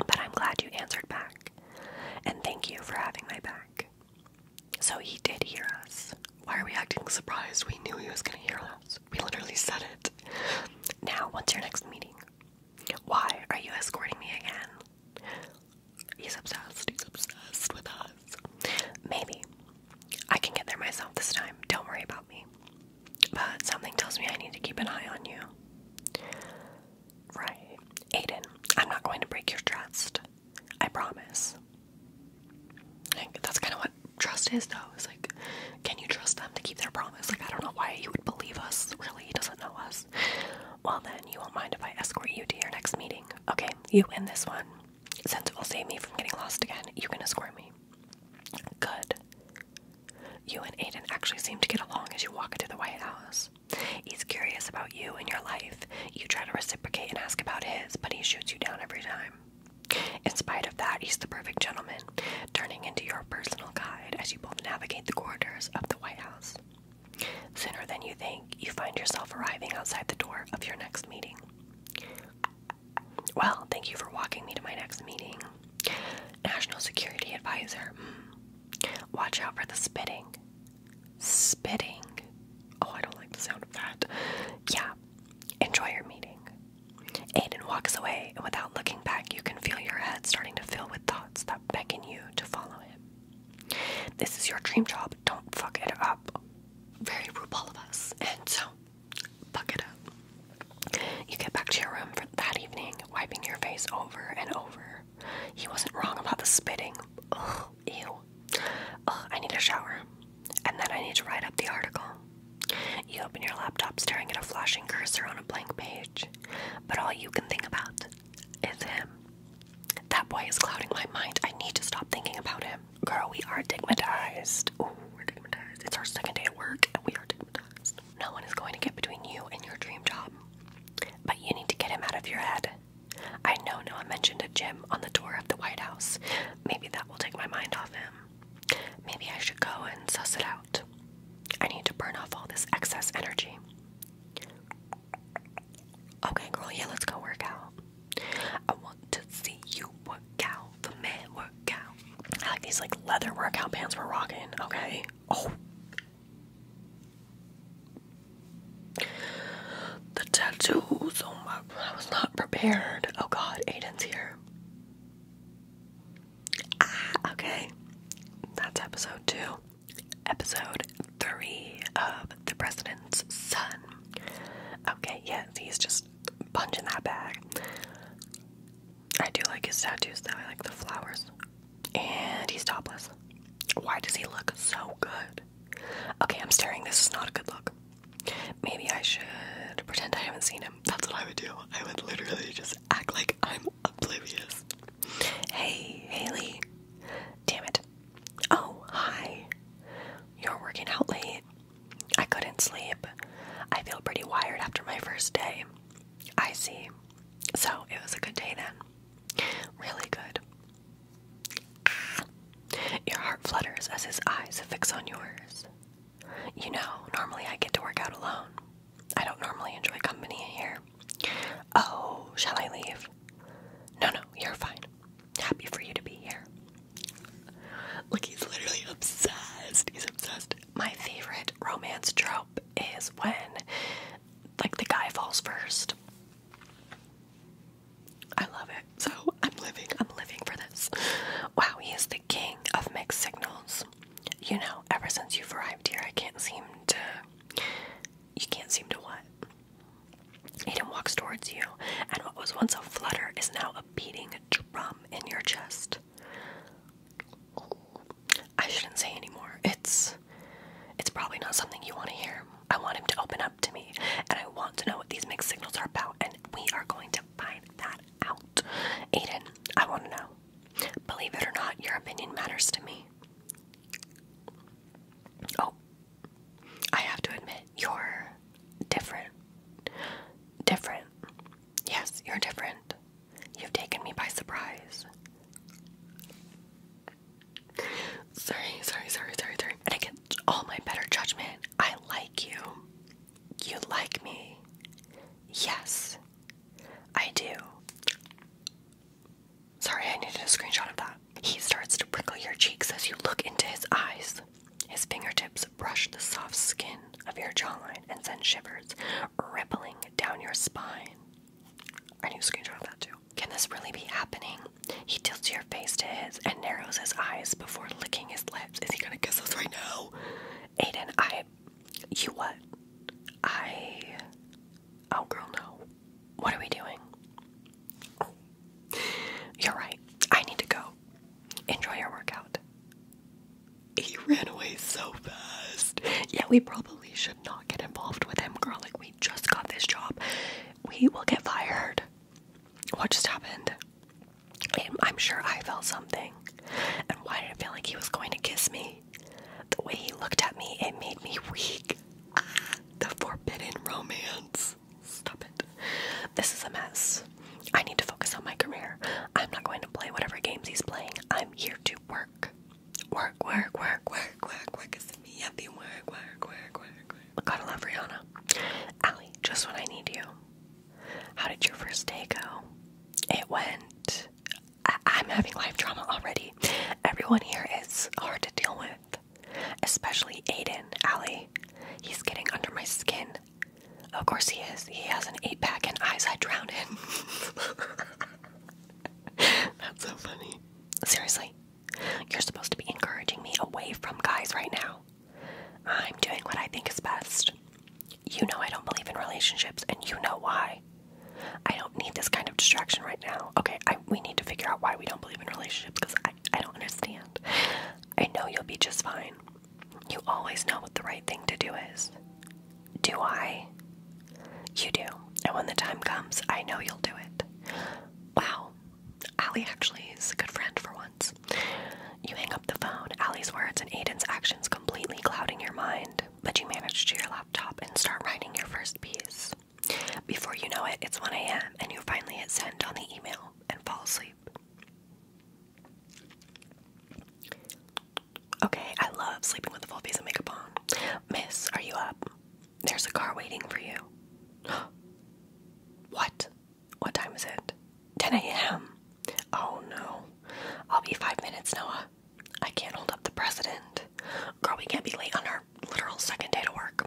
Speaker 1: but I'm glad you answered back. And thank you for having my back. So he did hear us. Why are we acting surprised? We knew he was gonna hear us. We literally said it. Now, what's your next meeting? Why are you escorting me again? He's obsessed. He's obsessed with us. Maybe. I can get there myself this time. Don't worry about me. But something tells me I need to keep an eye on you. Right. Aiden, I'm not going to break your trust. I promise. that's kind of what trust is, though. It's like, can you trust them to keep their promise? Like, I don't know why he would believe us. Really, he doesn't know us. Well, then you won't mind if I escort you to your next meeting. Okay, you win this one. Since it will save me from getting lost again, you can escort me. Good. You and Aiden actually seem to get along as you walk into the White House. He's curious about you and your life. You try to reciprocate and ask about his, but he shoots you down every time. In spite of that, he's the perfect gentleman, turning into your personal guide as you both navigate the corridors of the White House. Sooner than you think, you find yourself arriving outside the door of your next meeting. Well, thank you for walking me to my next meeting. National Security Advisor. Hmm. Watch out for the spitting. Spitting. Oh, I don't like the sound of that. Yeah, Enjoy your meeting. Aiden walks away, and without looking back, you can feel your head starting to fill with thoughts that beckon you to follow him. This is your dream job. Don't fuck it up. Very RuPaul of us. And so, fuck it up. You get back to your room for that evening, wiping your face over and over. He wasn't wrong about the spitting. ew. I need a shower. And then I need to write up the article. You open your laptop staring at a flashing cursor on a blank page. But all you can think about is him. That boy is clouding my mind. I need to stop thinking about him. Girl, we are digmatized. Ooh, we're digmatized. It's our second day at work and we are digmatized. No one is going to get between you and your dream job. But you need to get him out of your head. I know Noah mentioned a gym on the tour of the White House. Maybe that will take my mind off him maybe I should go and suss it out. I need to burn off all this excess energy. Okay, girl, yeah, let's go work out. I want to see you work out, the man work out. I like these like leather workout pants we're rocking, okay? Oh. The tattoos on oh my I was not prepared. Oh God, Aiden's here. Ah, okay. That's episode two. Episode three of The President's Son. Okay, yes, he's just punching that bag. I do like his tattoos though, I like the flowers. And he's topless. Why does he look so good? Okay, I'm staring. This is not a good look. Maybe I should pretend I haven't seen him. That's what I would do. I would literally just act like I'm oblivious. Hey, Haley. Damn it. Oh, hi. You're working out late. I couldn't sleep. I feel pretty wired after my first day. I see. So it was a good day then. Really good. Your heart flutters as his eyes fix on yours. You know, normally I get to work out alone. I don't normally enjoy company here. Oh, shall I leave? No, no, you're fine. Happy for you to be here. Look, he's literally obsessed. He's obsessed. My favorite romance trope is when, like, the guy falls first. I love it. So I'm living, I'm living for this. Wow, he is the king of mixed signals. You know, ever since you've arrived here, I can't seem to. You can't seem to what? Aiden walks towards you, and what was once a flutter is now a beating drum in your chest. I shouldn't say anymore. It's. It's probably not something you want to hear. I want him to open up to me, and I want to know what these mixed signals are about, and we are going to find that out. Aiden, I want to know. Believe it or not, your opinion matters to me. Oh, I have to admit, you're different. Different. Yes, you're different. You've taken me by surprise. Sorry, sorry, sorry, sorry, sorry. And against all my better judgment, I like you. You like me? Yes, I do. Sorry, I needed a screenshot of that. He starts to prickle your cheeks as you look into his eyes. His fingertips brush the soft skin of your jawline and send shivers rippling down your spine. I need a screenshot of that too. Can this really be happening? He tilts your face to his and narrows his eyes before licking his lips. Is he gonna kiss us right now? Aiden, I, you what? I, oh girl, no. What are we doing? you're right. I need to go. Enjoy your workout. He ran away so fast. Yeah, we probably should not get involved with him, girl. Like, we just got this job. We will get fired. What just happened? And I'm sure I felt something. And why did it feel like he was going to kiss me? The way he looked at me, it made me weak. Ah, the forbidden romance. Stop it. This is a mess. I need to focus on my career. I'm not going to play whatever games he's playing. I'm here to work. Work, work, work, work, work, work. It's me happy. Work, work, work, work, work. Gotta love Rihanna. Allie, just when I need you. How did your first day go? It went. I am having life drama already. Everyone here is hard to deal with, especially Aiden, Allie. He's getting under my skin. Of course he is. He has an eight pack and eyes I drown in. That's so funny. Seriously, you're supposed to be encouraging me away from guys right now. I'm doing what I think is best. You know I don't believe in relationships, and you know why. I don't need this kind of distraction right now. Okay, we need to figure out why we don't believe in relationships because I, don't understand. I know you'll be just fine. You always know what the right thing to do is. Do I? You do. And when the time comes, I know you'll do it. Wow. Ali actually is a good friend for once. You hang up the phone, Allie's words and Aiden's actions completely clouding your mind, but you manage to your laptop and start writing your first piece. Before you know it, it's 1 a.m. and you finally hit send on the email and fall asleep. Okay, I love sleeping with a full face of makeup on. Miss, are you up? There's a car waiting for you. what? What time is it? 10 a.m. Oh no. I'll be five minutes, Noah. I can't hold up the president. Girl, we can't be late on our literal second day to work.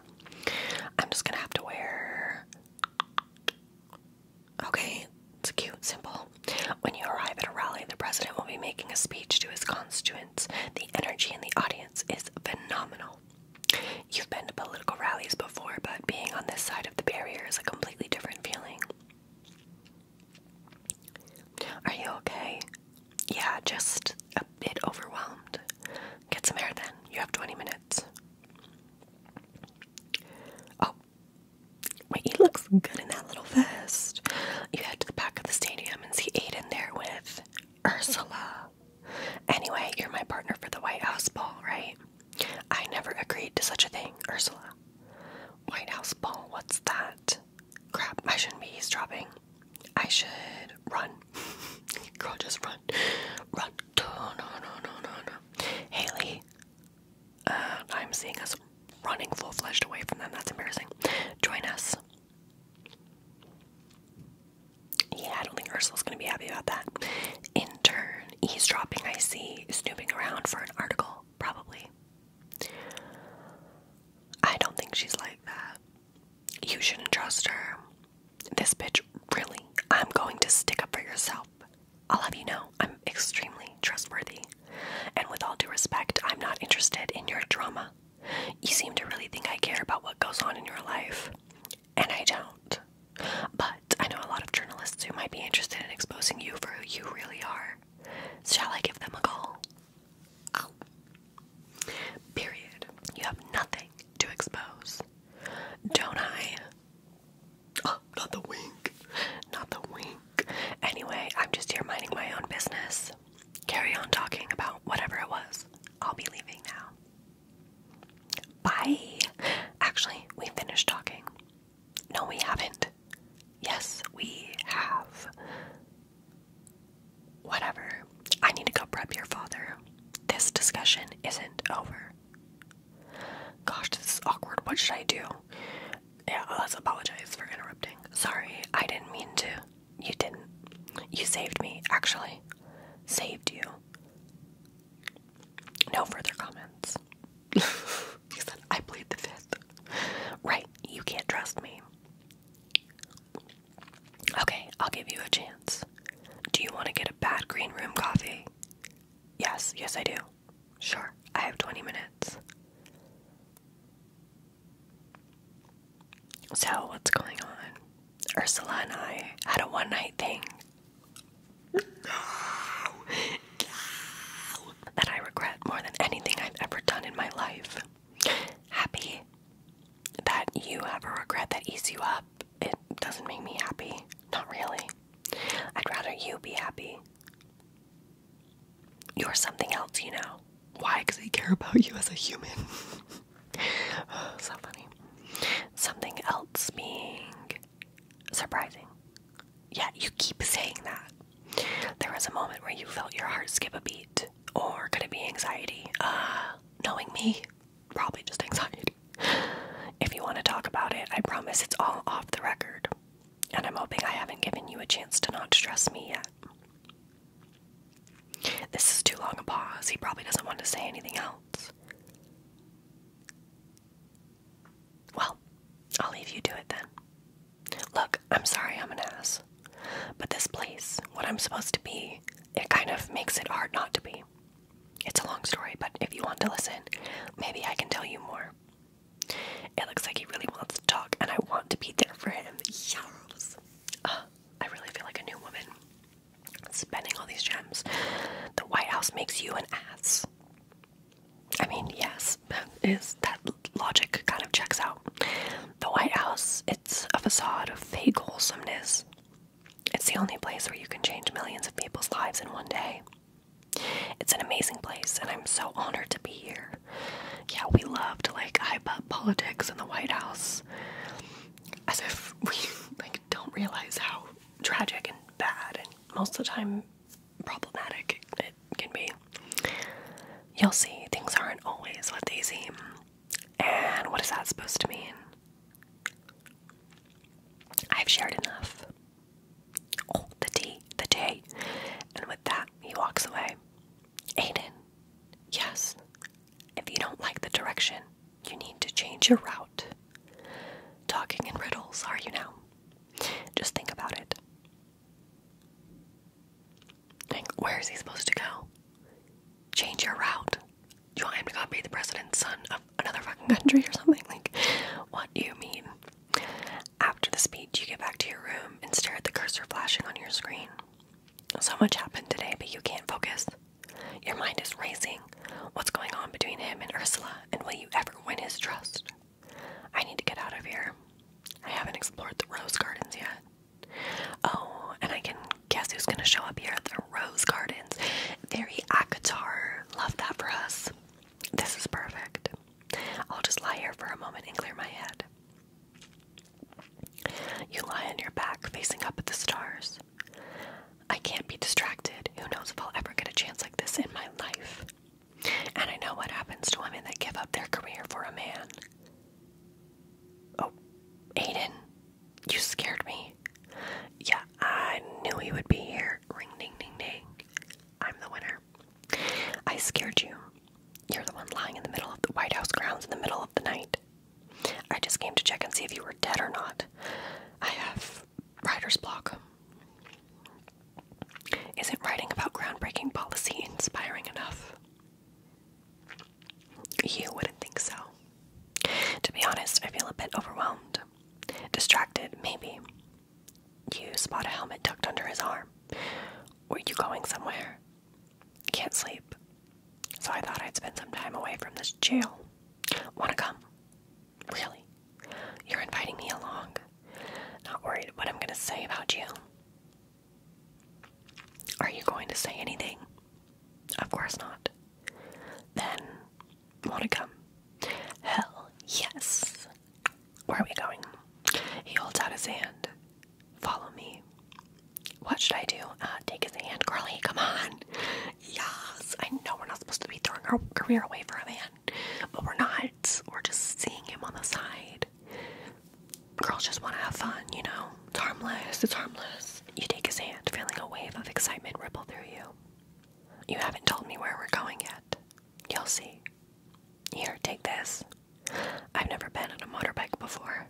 Speaker 1: I'm just gonna have to wear. Okay, it's cute, simple. When you arrive at a rally, the president will be making a speech to his constituents. The energy in the audience is phenomenal. You've been to political rallies before, but being on this side of the barrier is a completely different feeling. Are you okay? Yeah, just a bit overwhelmed. Get some air then. You have 20 minutes. Oh. Wait, he looks good in that little vest. You head to the back of the stadium and see Aiden there with Ursula. Anyway, you're my partner for the White House ball, right? I never agreed to such a thing, Ursula. White House ball, what's that? Crap, I shouldn't be eavesdropping. I should run. Girl, just run. Run. No, no, no, no, no. Haley, uh, I'm seeing us running full fledged away from them. That's embarrassing. Join us. Yeah, I don't think Ursula's gonna be happy about that. Intern eavesdropping, I see, snooping around for an article, probably. I don't think she's like that. You shouldn't trust her. This bitch, really, I'm going to stick up for yourself. I'll have you know I'm extremely trustworthy. And with all due respect, I'm not interested in your drama. You seem to really think I care about what goes on in your life, and I don't. But I know a lot of journalists who might be interested in exposing you for who you really are. Shall I give them a call? Oh. Period. You have nothing to expose. Don't I? Oh, not the wink. Not the wink. Anyway, I'm just here minding my own business. Carry on talking about whatever it was. I'll be leaving now. Bye. Actually, we finished talking. No, we haven't. Yes, we have. Whatever. I need to go prep your father. This discussion isn't over. Gosh, this is awkward. What should I do? Yeah, let's apologize for interrupting. Sorry, I didn't mean to. You didn't. You saved me, actually. Saved you. No further comments he said, I played the fifth. Right, you can't trust me. Okay, I'll give you a chance. Do you want to get a bad green room coffee? Yes, yes, I do. Sure, I have 20 minutes. So, what's going on? Ursula and I had a one night thing. That I regret more than anything I've ever done in my life. Happy that you have a regret that eats you up. It doesn't make me happy. Not really. I'd rather you be happy. You're something else, you know. Why? Because I care about you as a human. so funny. Something else being Surprising. Yeah, you keep saying that. There was a moment where you felt your heart skip a beat. Or could it be anxiety? Uh, knowing me, probably just anxiety. If you want to talk about it, I promise it's all off the record. And I'm hoping I haven't given you a chance to not stress me yet. This is too long a pause. He probably doesn't want to say anything else. Well, I'll leave you to it then. Look, I'm sorry I'm an ass. But this place, what I'm supposed to be, it kind of makes it hard not to be. It's a long story, but if you want to listen, maybe I can tell you more. It looks like he really wants to talk, and I want to be there for him. Yes! Ah, I really feel like a new woman. Spending all these gems. The White House makes you an ass. I mean, yes, is that logic kind of checks out. The White House, it's a facade of fake wholesomeness. It's the only place where you can change millions of people's lives in one day. It's an amazing place, and I'm so honored to be here. Yeah, we love to like hype up politics in the White House, as if we like don't realize how tragic and bad and most of the time problematic it can be. You'll see things aren't always what they seem. And what is that supposed to mean? I've shared enough. Oh, the tea, the day, And with that, he walks away. Aiden, yes. If you don't like the direction, you need to change your route. Talking in riddles, are you now? Just think about it where is he supposed to go? Change your route. You want him to go be the president's son of another fucking country or something? Like, what do you mean? After the speech, you get back to your room and stare at the cursor flashing on your screen. So much happened today, but you can't focus. Your mind is racing. What's going on between him and Ursula, and will you ever win his trust? I need to get out of here. I haven't explored the rose gardens yet. Oh, and I can guess who's gonna show up here at the rose gardens. Very Akatar. Love that for us. This is perfect. I'll just lie here for a moment and clear my head. You lie on your back, facing up at the stars. I can't be distracted. Who knows if I'll ever get a chance like this in my life. And I know what happens to women that give up their career for a man. Oh, Aiden, you scared me. Yeah, I knew you would be here. Ring ding ding ding. I'm the winner. I scared you. You're the one lying in the middle of the White House grounds in the middle of the night. I just came to check and see if you were dead or not. I have writer's block. Isn't writing about groundbreaking policy inspiring enough? You wouldn't think so. To be honest, I feel a bit overwhelmed. Distracted, maybe. You spot a helmet tucked under his arm. Were you going somewhere? Can't sleep. So I thought I'd spend some time away from this jail. Wanna come? Really? You're inviting me along? Not worried what I'm going to say about you. Are you going to say anything? Of course not. Then, want to come? Hell yes. Where are we going? He holds out his hand. Follow me. What should I do? Uh, take his hand, Carly. Come on. Yes. I know we're not supposed to be throwing our career away for a man, but we're not. We're just seeing him on the side. Girls just want to have fun, you know? It's harmless, it's harmless. You take his hand, feeling a wave of excitement ripple through you. You haven't told me where we're going yet. You'll see. Here, take this. I've never been on a motorbike before.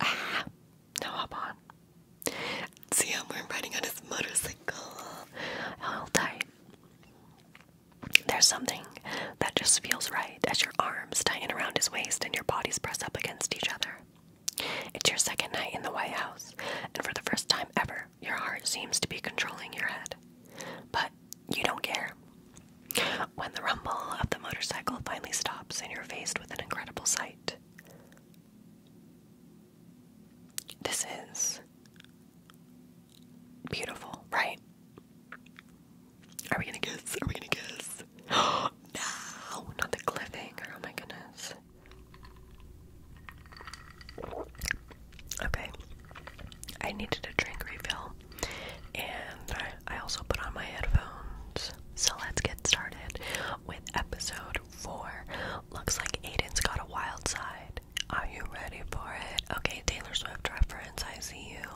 Speaker 1: Ah, now hop on. See him, we riding on his motorcycle. Hold tight. There's something that just feels right as your arms tighten around his waist and your bodies press up against each other. It's your second night in the White House, and for the first time ever, your heart seems to be controlling your head. But you don't care. When the rumble of the motorcycle finally stops and you're faced with an incredible sight, this is Beautiful, right? Are we gonna kiss? Are we gonna kiss? no, not the cliffhanger. Oh my goodness. Okay. I needed a drink refill and I also put on my headphones. So let's get started with episode 4. Looks like Aiden's got a wild side. Are you ready for it? Okay, Taylor Swift reference. I see you.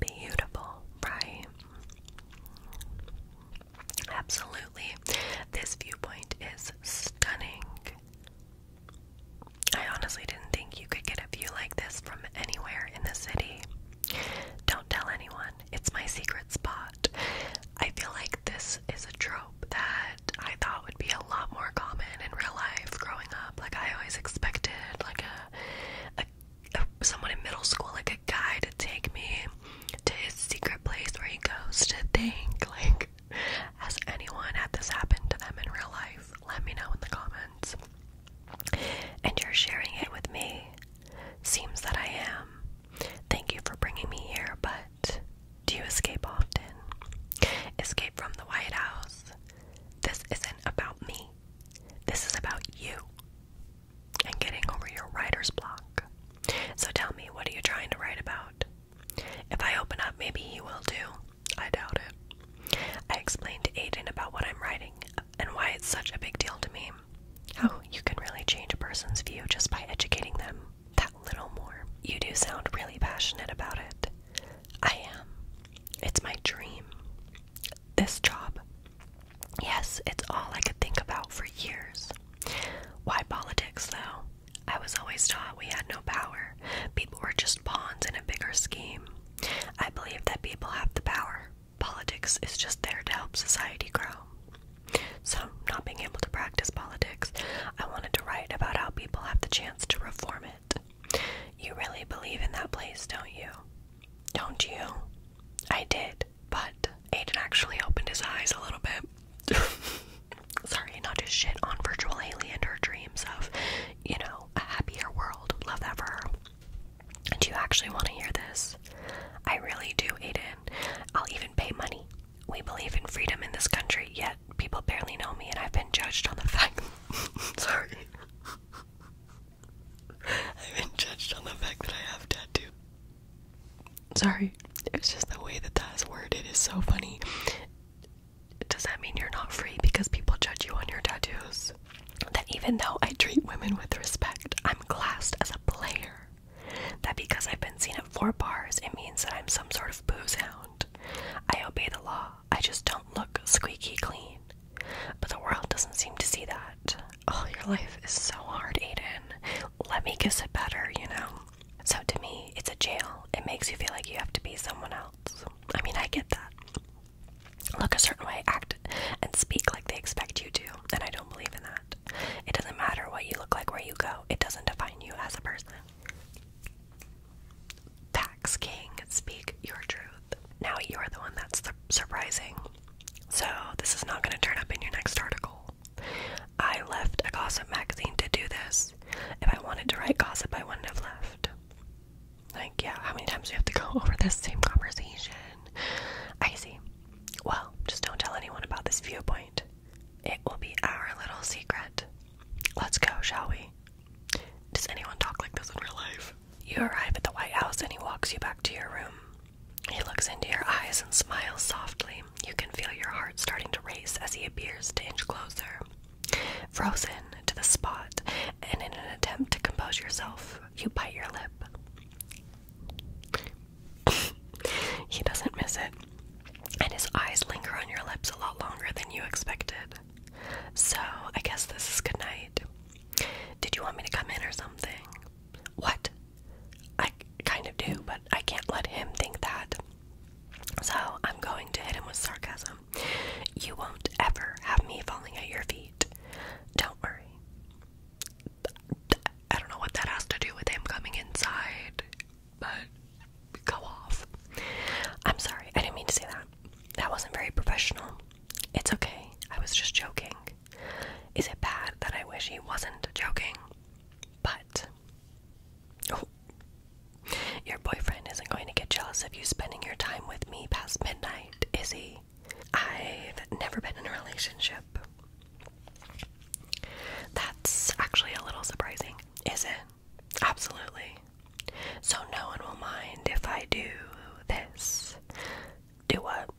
Speaker 1: Beautiful, right? Absolutely. This viewpoint is stunning. I honestly didn't think you could get a view like this from anywhere in the city. Don't tell anyone, it's my secret spot. I feel like this is a trope that I thought would be a lot more common in real life growing up. Like I always expected, like a someone in middle school, like a guy, to take me to his secret place where he goes to think. Like, has anyone had this happen to them in real life? Let me know in the comments. And you're sharing it with me. Seems that I am. Thank you for bringing me here, but do you escape often? Escape from the White House, this isn't about me. This is about you and getting over your writer's block. So tell me, what are you trying to write about? If I open up, maybe he will do. I doubt it. I explained to Aiden about what I'm writing and why it's such a big deal to me. How you can really change a person's view just by educating them that little more. You do sound really passionate about it. I am. It's my dream. This job. Yes, it's all I could think about for years. Why politics, though? I was always taught we had no power. People were just pawns in a bigger scheme. I believe that people have the power. Politics is just there to help society grow. So, not being able to practice politics, I wanted to write about how people have the chance to reform it. You really believe in that place, don't you? Don't you? I did, but Aiden actually opened his eyes a little bit. Sorry, not just shit on Virtual Haley and her dreams of, you know, a happier world. Love that for her. Do you actually want to hear this? I really do, Aiden. I'll even pay money. We believe in freedom in this country, yet people barely know me and I've been judged on the fact. Sorry. I've been judged on the fact that I have tattoos. Sorry, it's just the way that that is worded is so funny. Does that mean you're not free because people judge you on your tattoos? That even though I treat women with respect, I'm classed as a player. That because I've been seen at four bars, it means that I'm some sort of booze hound. I obey the law. I just don't look squeaky clean. But the world doesn't seem to see that. Oh, your life is so hard, Aiden. Let me kiss it better, you know? So to me, it's a jail. It makes you feel like you have to be someone else. I mean, I get that. Look a certain way, act and speak like they expect you to, and I don't believe in that. It doesn't matter what you look like, where you go, it doesn't define you as a person. Tax King, speak your truth. Now you're the one that's surprising. So, this is not going to turn up in your next article. I left a gossip magazine to do this. If I wanted to write gossip, I wouldn't have left. Like, yeah, how many times do you have to go over this same conversation? I see. Well, just don't tell anyone about this viewpoint. It will be our little secret. Let's go, shall we? Does anyone talk like this in real life? You arrive at the White House and he walks you back to your room. He looks into your eyes and smiles softly. You can feel your heart starting to race as he appears to inch closer. Frozen to the spot, and in an attempt to compose yourself, you bite your lip. he doesn't miss it, and his eyes linger on your lips a lot longer than you expected. So, I guess this is goodnight. Did you want me to come in or something? What? I kind of do, but I can't let him think that. So I'm going to hit him with sarcasm. You won't ever have me falling at your feet. Don't worry. I don't know what that has to do with him coming inside, but go off. I'm sorry, I didn't mean to say that. That wasn't very professional. It's okay. I was just joking. Is it bad that I wish he wasn't joking? But. Oh, your boyfriend isn't going to get jealous of you spending your time with me past midnight, is he? I've never been in a relationship. That's actually a little surprising, is it? Absolutely. So no one will mind if I do this. Do what?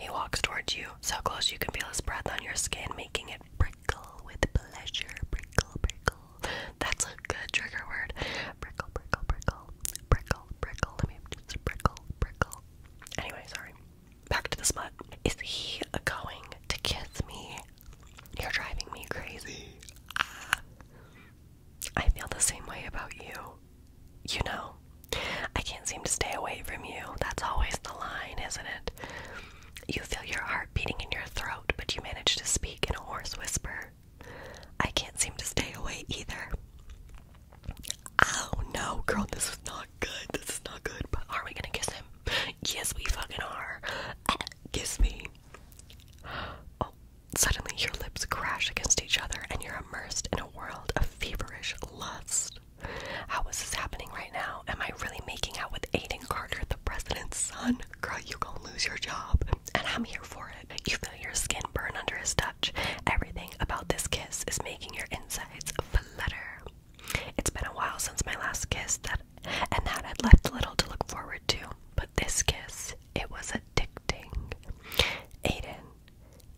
Speaker 1: He walks towards you, so close you can feel his breath on your skin, making it prickle with pleasure. Prickle, prickle. That's a good trigger word. Prickle, prickle, prickle. Prickle, prickle. Let me just prickle, prickle. Anyway, sorry. Back to the smut. Is he going to kiss me? You're driving me crazy. Ah. I feel the same way about you. You know, I can't seem to stay away from you. That's always the line, isn't it? You feel your heart beating in your throat, but you manage to speak in a hoarse whisper. I can't seem to stay away either. Oh no, girl, this is not good. This is not good. But are we gonna kiss him? Yes, we fucking are. Uh, kiss me. Oh, Suddenly, your lips crash against each other, and you're immersed in a world of feverish lust. How is this happening right now? Am I really making out with Aiden Carter, the president's son? Girl, you gonna lose your job, and I'm here for it. You feel your skin burn under his touch. Everything about this kiss is making your insides flutter. It's been a while since my last kiss, that and that had left little to look forward to. But this kiss it was addicting. Aiden.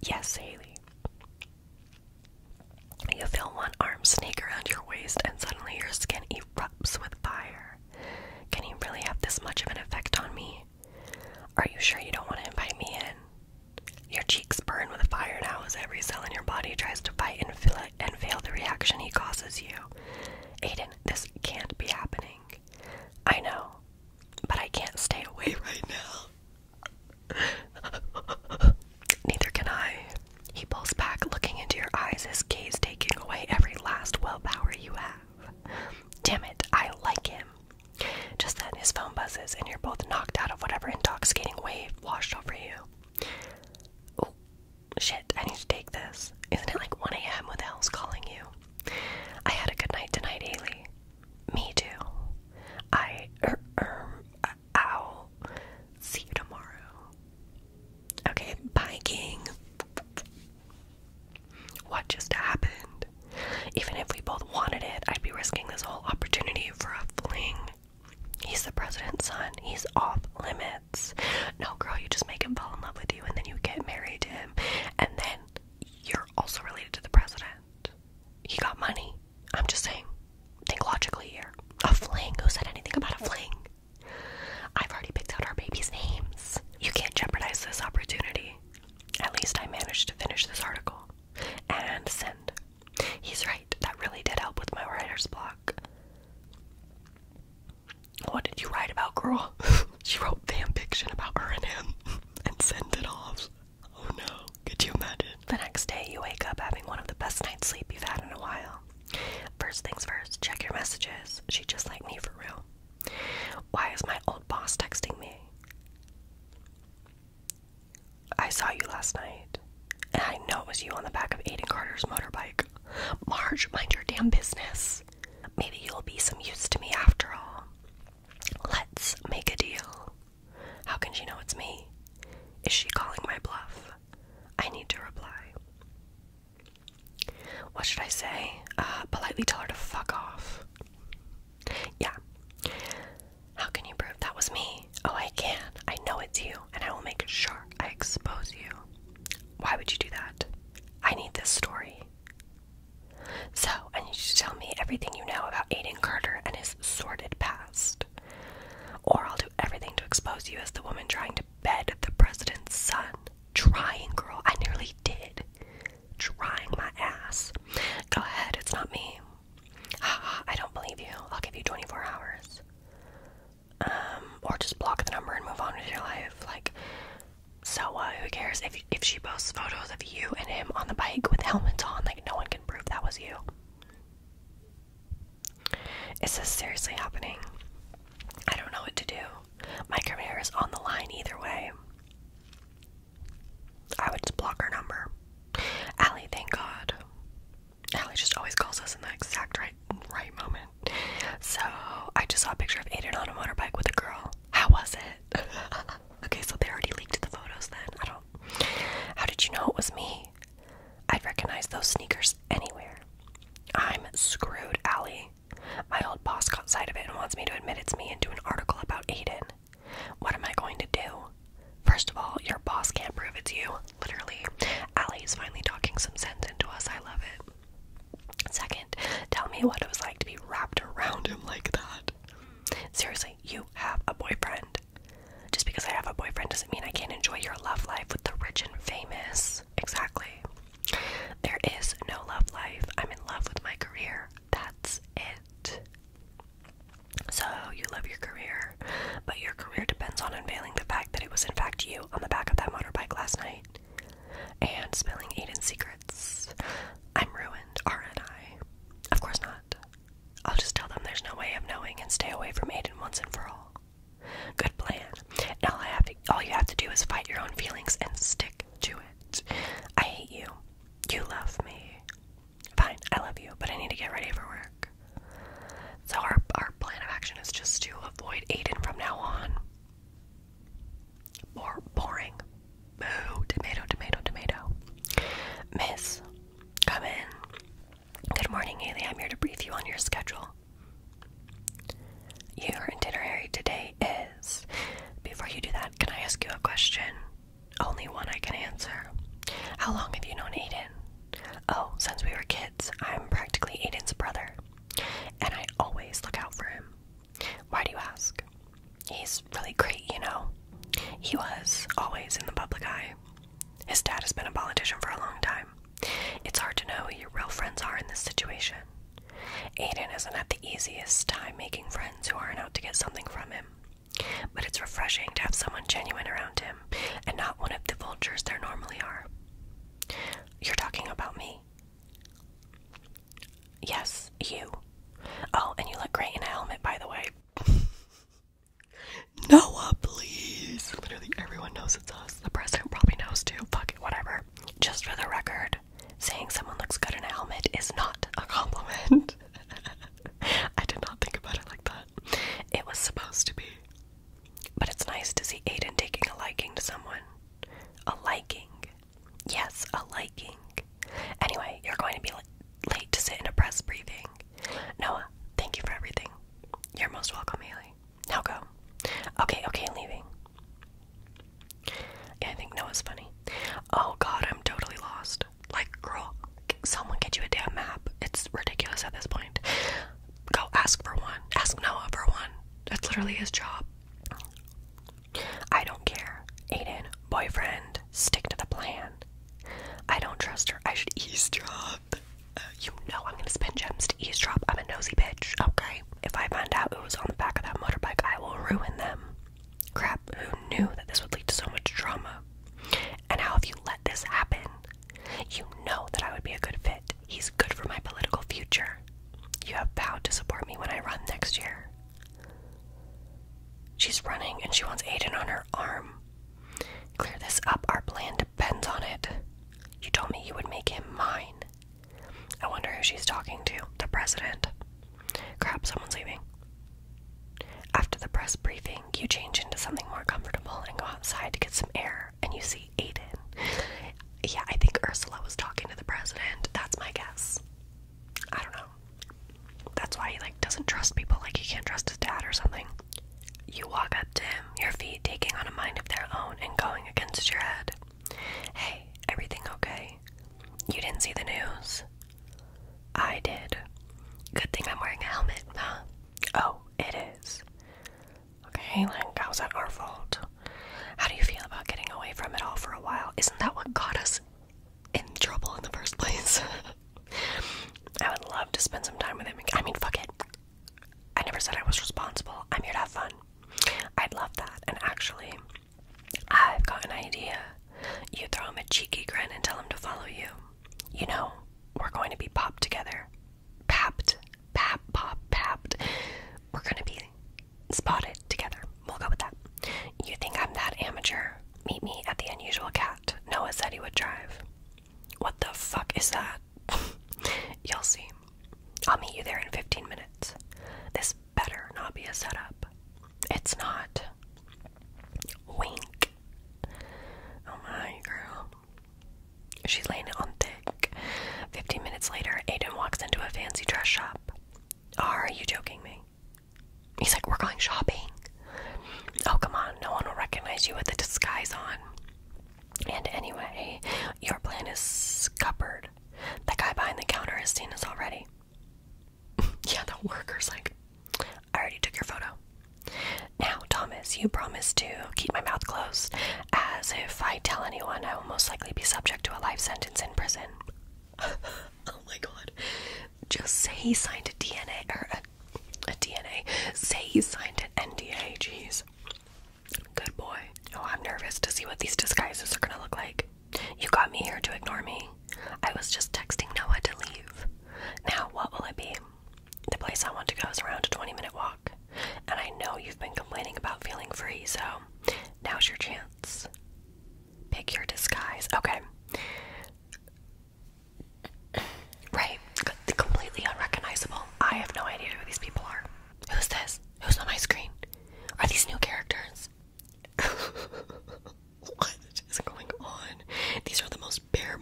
Speaker 1: Yes, Haley. You feel one arm sneak around your waist and suddenly your skin erupts with fire. Can he really have this much of an effect on me? Are you sure you don't want to invite me in? Your cheeks burn with fire now as every cell in your body tries to fight and, feel and fail the reaction he causes you. Aiden, this can't be happening. I know, but I can't stay away right now. Neither can I. He pulls back, looking into your eyes, his gaze taking away every last willpower you have. Damn it, I like him. Just then, his phone buzzes, and you're both knocked out of whatever intoxicating wave washed over you. Oh, shit, I need to take this. Isn't it like 1 a.m.? What the hell's calling you? I had a good night tonight, Ailey. Me too. I, er, er, uh, ow. See you tomorrow. Okay, bye, King. What just happened? Even if we both wanted it, I'd be risking this whole opportunity for a fling. He's the president's son. He's off limits. No, girl, you just make him fall in love with you and then you get married to him. And then you're also related to the president. He got money. I'm just saying. Think logically here. A fling. Who said anything about a fling? I've already picked out our baby's names. You can't jeopardize this opportunity. At least I managed to finish this article. And send. He's right. That really did help with my writer's block. What did you write about, girl? she wrote fanfiction about her and him and sent it off. Oh no, could you imagine? The next day, you wake up having one of the best night's sleep you've had in a while. First things first, check your messages. She just like me for real. Why is my old boss texting me? I saw you last night, and I know it was you on the back of Aiden Carter's motorbike. Marge, mind your damn business. Maybe you'll be some use to me after all. Let's make a deal. How can she know it's me? Is she calling my bluff? I need to reply. What should I say? Uh, politely tell her to fuck off. Yeah. How can you prove that was me? Oh, I can. I know it's you, and I will make sure I expose you. Why would you do that? I need this story. So I need you to tell me everything you know about Aiden Carter and his sordid past. Or I'll do everything to expose you as the woman trying to bed the president's son. Trying, girl. I nearly did. Trying my ass. Go ahead, it's not me. I don't believe you. I'll give you 24 hours. Um, or just block the number and move on with your life. Like, so Who cares if if she posts photos of you and him on the bike with helmets on? Like no one can prove that was you. It's just seriously happening? I don't know what to do. My career is on the line either way. I would just block her number. Allie, thank God. Allie just always calls us in the exact right right moment. So I just saw a picture of Aiden on a motorbike with a girl. How was it? okay, so they already leaked the photos then. I don't. How did you know it was me? I'd recognize those sneakers anywhere. I'm screwed, Allie. My old boss caught sight of it and wants me to admit it's me and do an article about Aiden. What am I going to do? First of all, your boss can't prove it's you. Literally. Allie is finally talking some sense into us. I love it. Second, tell me what it was like to be wrapped around him like that. Seriously, you have a boyfriend. Just because I have a boyfriend doesn't mean I can't enjoy your love life with the rich and famous. Exactly. There is no love life. I'm in love with my career. That's it. So, you love your career, but your career depends on unveiling the fact that it was, in fact, you on the back of that motorbike last night and spilling Aiden's secrets. I'm ruined, aren't I? Of course not. I'll just tell them there's no way of knowing and stay away from Aiden once and for all. Good plan. all I have to, all you have to do is fight your own feelings and stick to it. I hate you. You love me. Fine, I love you, but I need to get ready for work. So our our plan of action is just to avoid Aiden from now on. More boring. Boo. Tomato, tomato, tomato. Miss, come in. Good morning, Haley. I'm here to brief you on your schedule. Your itinerary today is. Before you do that, can I ask you a question? Only one I can answer. How long have you known Aiden? Oh, since we were kids. I'm practically Aiden's brother. And I always look out for him. Why do you ask? He's really great, you know. He was always in the public eye. His dad has been a politician for a long time. It's hard to know who your real friends are in this situation. Aidan isn't at the easiest time making friends who aren't out to get something from him. But it's refreshing to have someone genuine around him and not one of the vultures there normally are. You're talking about me. Yes, you. Oh, and you look great in a helmet, by the way. Noah, please. Literally everyone knows it's us. The president probably knows too. Fuck it, whatever. Just for the record, saying someone looks good in a helmet is not a compliment. I did not think about it like that. It was supposed to be. But it's nice to see Aiden taking a liking to someone. A liking Yes, a liking. Anyway, you're going to be late to sit in a press briefing. Noah, thank you for everything. You're most welcome, Haley. Now go. Okay, okay, leaving. I think Noah's funny. Oh god, I'm totally lost. Like, girl, someone get you a damn map. It's ridiculous at this point. Go ask for one. Ask Noah for one. That's literally his job. I don't care. Aiden, boyfriend, stick to the plan. I don't trust her. I should eavesdrop. Uh, you know I'm gonna spend gems to eavesdrop. I'm a nosy bitch, okay? If I find out it was on the back of that motorbike, I will ruin them. Crap, who knew that this would lead to so much drama? And how have you let this happen? You know that I would be a good fit. He's good for my political future. You have vowed to support me when I run next year. She's running and she wants Aiden on her arm. Clear this up, our plan depends on it. You told me you would make him mine. I wonder who she's talking to. The president. Crap, someone's leaving. After the press briefing, you change into something more comfortable and go outside to get some air, and you see Aiden. Yeah, I think Ursula was talking to the president. That's my guess. I don't know. That's why he like doesn't trust people, like he can't trust his dad or something. You walk up to him, your feet taking on a mind of their own and going against your head. Hey, everything okay? You didn't see the news? I did. Good thing I'm wearing a helmet, huh? Oh, it is. Okay, like, how's that our fault? How do you feel about getting away from it all for a while? Isn't that what got us in trouble in the first place. I would love to spend some time with him. I mean, fuck it. I never said I was responsible. I'm here to have fun. I'd love that. And actually, I've got an idea. You throw him a cheeky grin and tell him to follow you. You know, we're going to be popped together. Papped. Pap, pop, papped. We're going to be spotted together. We'll go with that. You think I'm that amateur? Meet me at the unusual cat. Noah said he would drive. What the fuck is that? You'll see. I'll meet you there in 15 minutes. This better not be a setup. It's not. Wink. Oh my girl. She's laying it on thick. 15 minutes later, Aiden walks into a fancy dress shop. Are you joking me? He's like, We're going shopping. Oh, come on. No one will recognize you with the disguise on. And anyway, your plan is scuppered. The guy behind the counter has seen us already. yeah, the worker's like, I already took your photo. Now, Thomas, you promised to keep my mouth closed, as if I tell anyone I will most likely be subject to a life sentence in prison. oh my god just say he signed a DNA or a, a DNA. Say he signed an NDA. Jeez. Good boy. Oh, I'm nervous to see what these disguises are gonna look like. You got me here to ignore me. I was just texting Noah to leave. Now, what will it be? The place I want to go is around a 20 minute walk. And I know you've been complaining about feeling free, so now's your chance. Pick your disguise. Okay. Right. completely unrecognizable. I have no idea who these people are. Who's this? Who's on my screen? Are these new characters? what is going on? These are the most bare,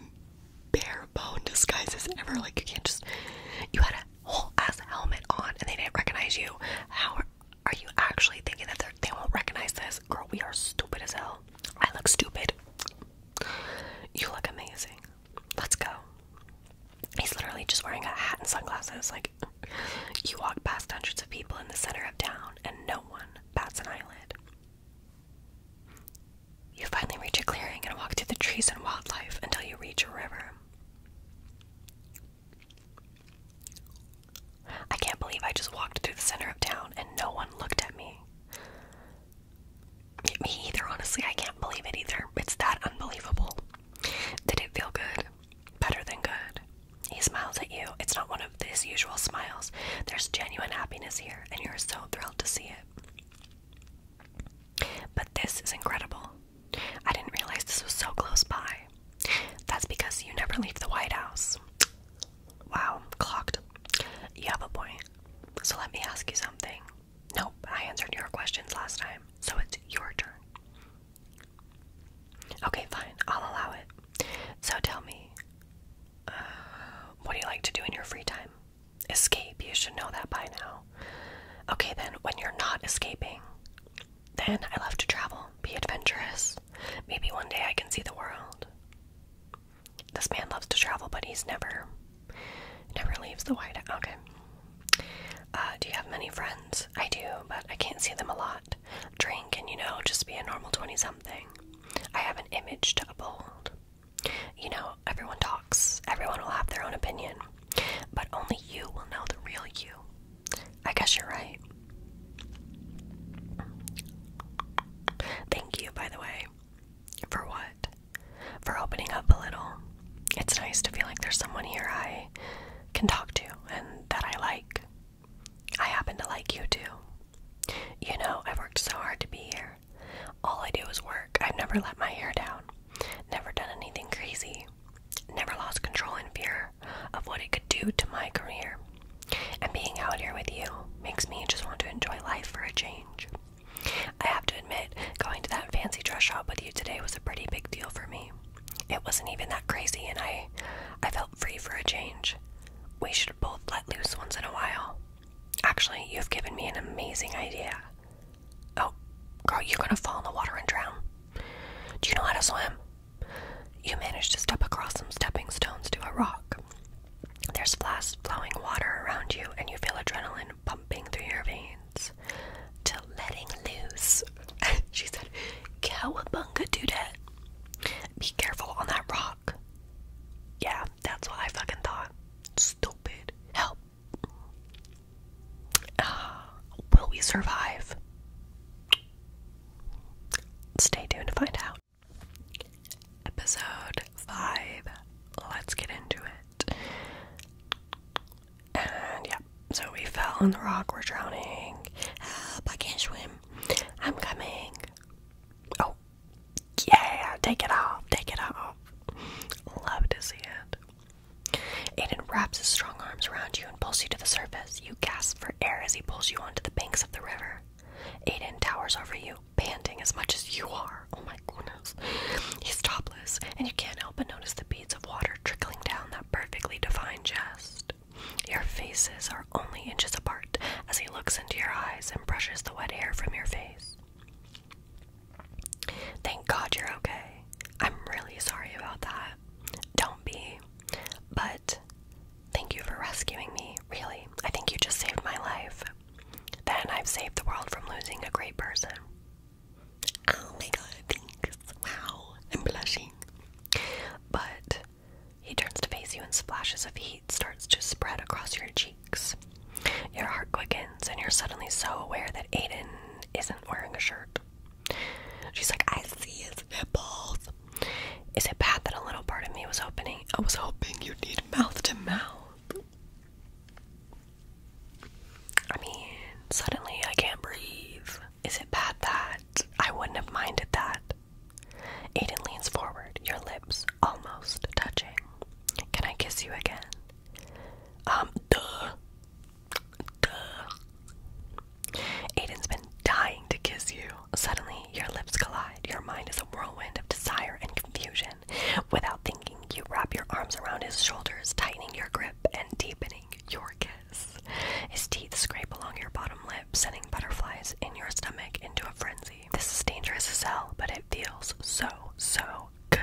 Speaker 1: bare bone disguises ever. Like, you can't just. You had a whole ass helmet on and they didn't recognize you. How are you actually thinking that they won't recognize this? Girl, we are stupid as hell. I look stupid. You look amazing. Let's go. He's literally just wearing a hat and sunglasses. Like, you walk past hundreds of people in the center of town and no one bats an eyelid. You finally reach a clearing and walk through the trees and wildlife until you reach a river. I can't believe I just walked through the center of town and no one looked at me. Me either, honestly. I can't believe it either. It's that unbelievable. Did it feel good? Better than good. He smiles at you. It's not one of his usual smiles. There's genuine happiness here, and you're so thrilled to see it. But this is incredible. I didn't realize this was so close by. That's because you never leave the White House. Wow, clocked. You have a point. So let me ask you something. Nope, I answered your questions last time, so it's your turn. Okay, fine, I'll allow it. So tell me, uh, what do you like to do in your free time? Escape, you should know that by now. Okay, then, when you're not escaping, then I love to travel, be adventurous. Maybe one day I can see the world. This man loves to travel, but he's never, never leaves the White House. Okay. Uh, do you have many friends? I do, but I can't see them a lot. Drink and, you know, just be a normal 20 something. I have an image to uphold. You know, everyone talks, everyone will have their own opinion, but only you will know the real you. I guess you're right. Thank you, by the way. For what? For opening up a little. It's nice to feel like there's someone here I can talk to and that I like. I happen to like you too. You know, I've worked so hard to be here. All I do is work. I've never let my hair down, never done anything crazy, never lost control and fear of what it could do to my career. And being out here with you makes me just want to enjoy life for a change. I have to admit, going to that fancy dress shop with you today was a pretty big deal for me. It wasn't even that crazy and I I felt free for a change. We should both let loose once in a while. Actually, you've given me an amazing idea. Oh, girl, you're gonna fall in the water and drown. Do you know how to swim? You manage to step across some stepping stones to a rock. There's fast flowing water around you, and you feel adrenaline pumping through your veins. To letting loose, she said, Cowabunga, dude! Be careful on that rock. Yeah, that's what I fucking thought. Stupid. Help. Ah, will we survive? Stay tuned to find out. Episode 5. Let's get into it. And yeah, so we fell on the rock. We're drowning. Help, I can't swim. I'm coming. Oh, yeah, take it off. Take it off. Love to see it. Aiden wraps his strong arms around you and pulls you to the surface. You gasp for air as he pulls you onto the banks of the river. Aiden towers over you, panting as much as you are. Oh my goodness. He's topless, and you can't help but notice the beads of water trickling down that perfectly defined chest. Your faces are only inches apart as he looks into your eyes and brushes the wet hair from your face. Thank God you're okay. I'm really sorry about that. Don't be. But thank you for rescuing me. Really, I think you just saved my life. Then I've saved the world from losing a great person. Oh my god, thanks. Wow, I'm blushing. But he turns to face you, and splashes of heat starts to spread across your cheeks. Your heart quickens, and you're suddenly so aware that Aiden isn't wearing a shirt. She's like, I see his nipples. Is it bad that a little part of me was hoping I was hoping you'd need mouth to mouth. I mean, suddenly I can't breathe. Is it bad that I wouldn't have minded that? Aiden leans forward, your lips almost touching. Can I kiss you again? Um, duh. Duh. Aiden's been dying to kiss you. Suddenly, your lips collide. Your mind is a whirlwind of desire and confusion. Without thinking, you wrap your arms around his shoulders, tightening your grip and deepening your kiss. His teeth scrape along your bottom lip, sending butterflies in your stomach into a frenzy. This is dangerous as hell, but it feels so, so good.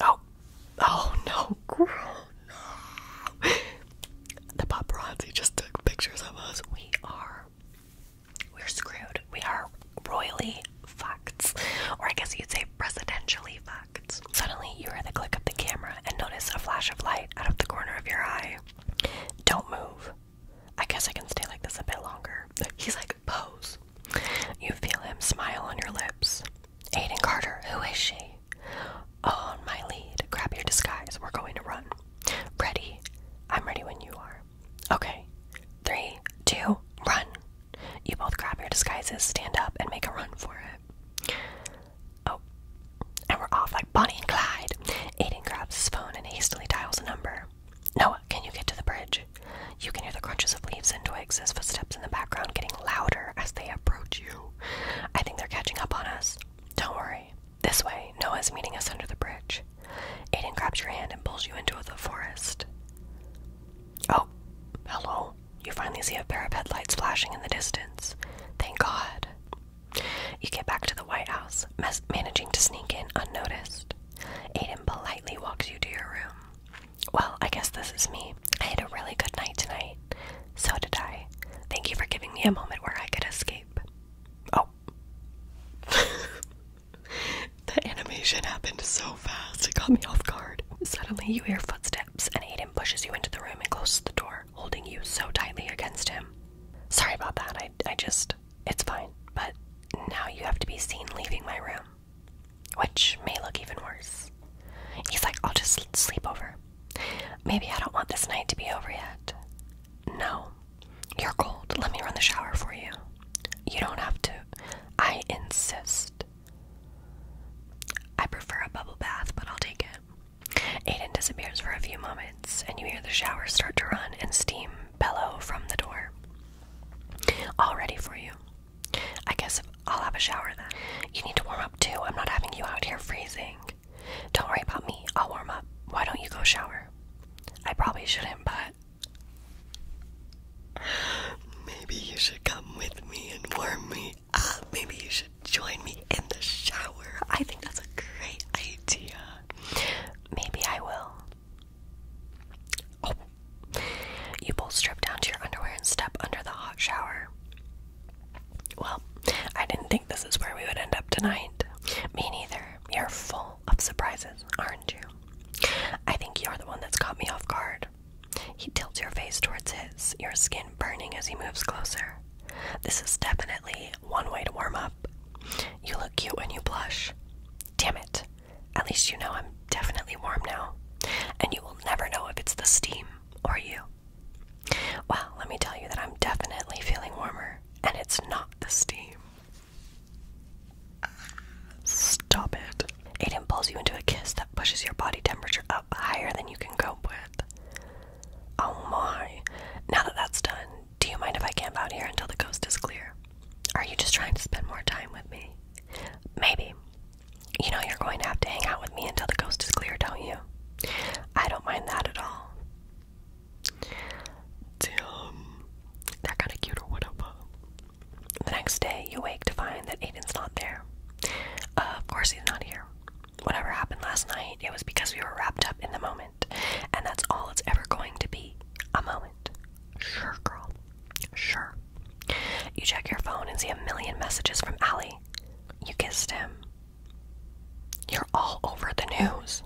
Speaker 1: Oh, oh no, girl, The paparazzi just took pictures of us. We are we're screwed. We are royally fucked. Or I guess you'd say presidentially fucked. Suddenly, you hear the click of the camera and notice a flash of light out of the corner of your eye. Don't move. I guess I can stay like this a bit longer. He's like, pose. You feel him smile on your lips. Aiden Carter, who is she? On my lead. Grab your disguise. We're going to run. Ready? I'm ready when you are. Okay. Three, two, run. You both grab your disguises, stand up, and make a run for it. Oh. And we're off like Bonnie and Clyde. Aidan grabs his phone and hastily dials a number. Noah, can you get to the bridge? You can hear the crunches of leaves and twigs as footsteps in the background getting louder as they approach you. I think they're catching up on us. Don't worry. This way, Noah's meeting us under the bridge. Aiden grabs your hand and pulls you into the forest. Oh, hello. You finally see a pair of headlights flashing in the distance. Thank God. You get back to the White House, managing to sneak in unnoticed. Aiden politely walks you to your room. Well, I guess this is me. I had a really good night tonight. So did I. Thank you for giving me a moment where I could escape. Oh, out. the animation happened so fast, it caught me off guard. Suddenly, you hear footsteps, and Aiden pushes you into the room and closes the door, holding you so tightly against him. Sorry about that, I, I just. It's fine, but now you have to be seen leaving my room, which may look even worse. He's like, I'll just sleep over. Maybe I don't want this night to be over yet. No, you're cold. Let me run the shower for you. You don't have to. I insist. I prefer a bubble bath, but I'll take it. Aiden disappears for a few moments, and you hear the shower start to run and steam bellow from the door. All ready for you. I guess I'll have a shower then. You need to warm up too. I'm not having you out here freezing. Don't worry about me. I'll warm up. Why don't you go shower? I probably shouldn't, but maybe you should come with me and warm me Maybe you should join me in the shower. I think that's a great idea. Maybe I will. Oh. You both strip down to your underwear and step under the hot shower. Well, I didn't think this is where we would end up tonight. Me neither. You're full of surprises, aren't you? I think you're the one that's caught me off guard. He tilts your face towards his, your skin burning as he moves closer. This is definitely one way to warm up. You look cute when you blush. Damn it. At least you know I'm definitely warm now. And you will never know if it's the steam or you. Well, let me tell you that I'm definitely feeling warmer, and it's not the steam. Stop it. It pulls you into a kiss that pushes your body temperature up higher than you can cope with. Oh my. Now that that's done, do you mind if I camp out here until the coast is clear? Are you just trying to spend more time with me? Maybe. You know you're going to have to hang out with me until the coast is clear, don't you? I don't mind that at all. Damn. they kinda cute or whatever. The next day you wake to find that Aiden's not there. Uh, of course he's not here. Whatever happened last night, it was because we were wrapped up in the moment. And that's all it's ever going to be. A moment. Sure, girl. Sure. You check your phone and see a million messages from Allie. You kissed him. You're all over the news.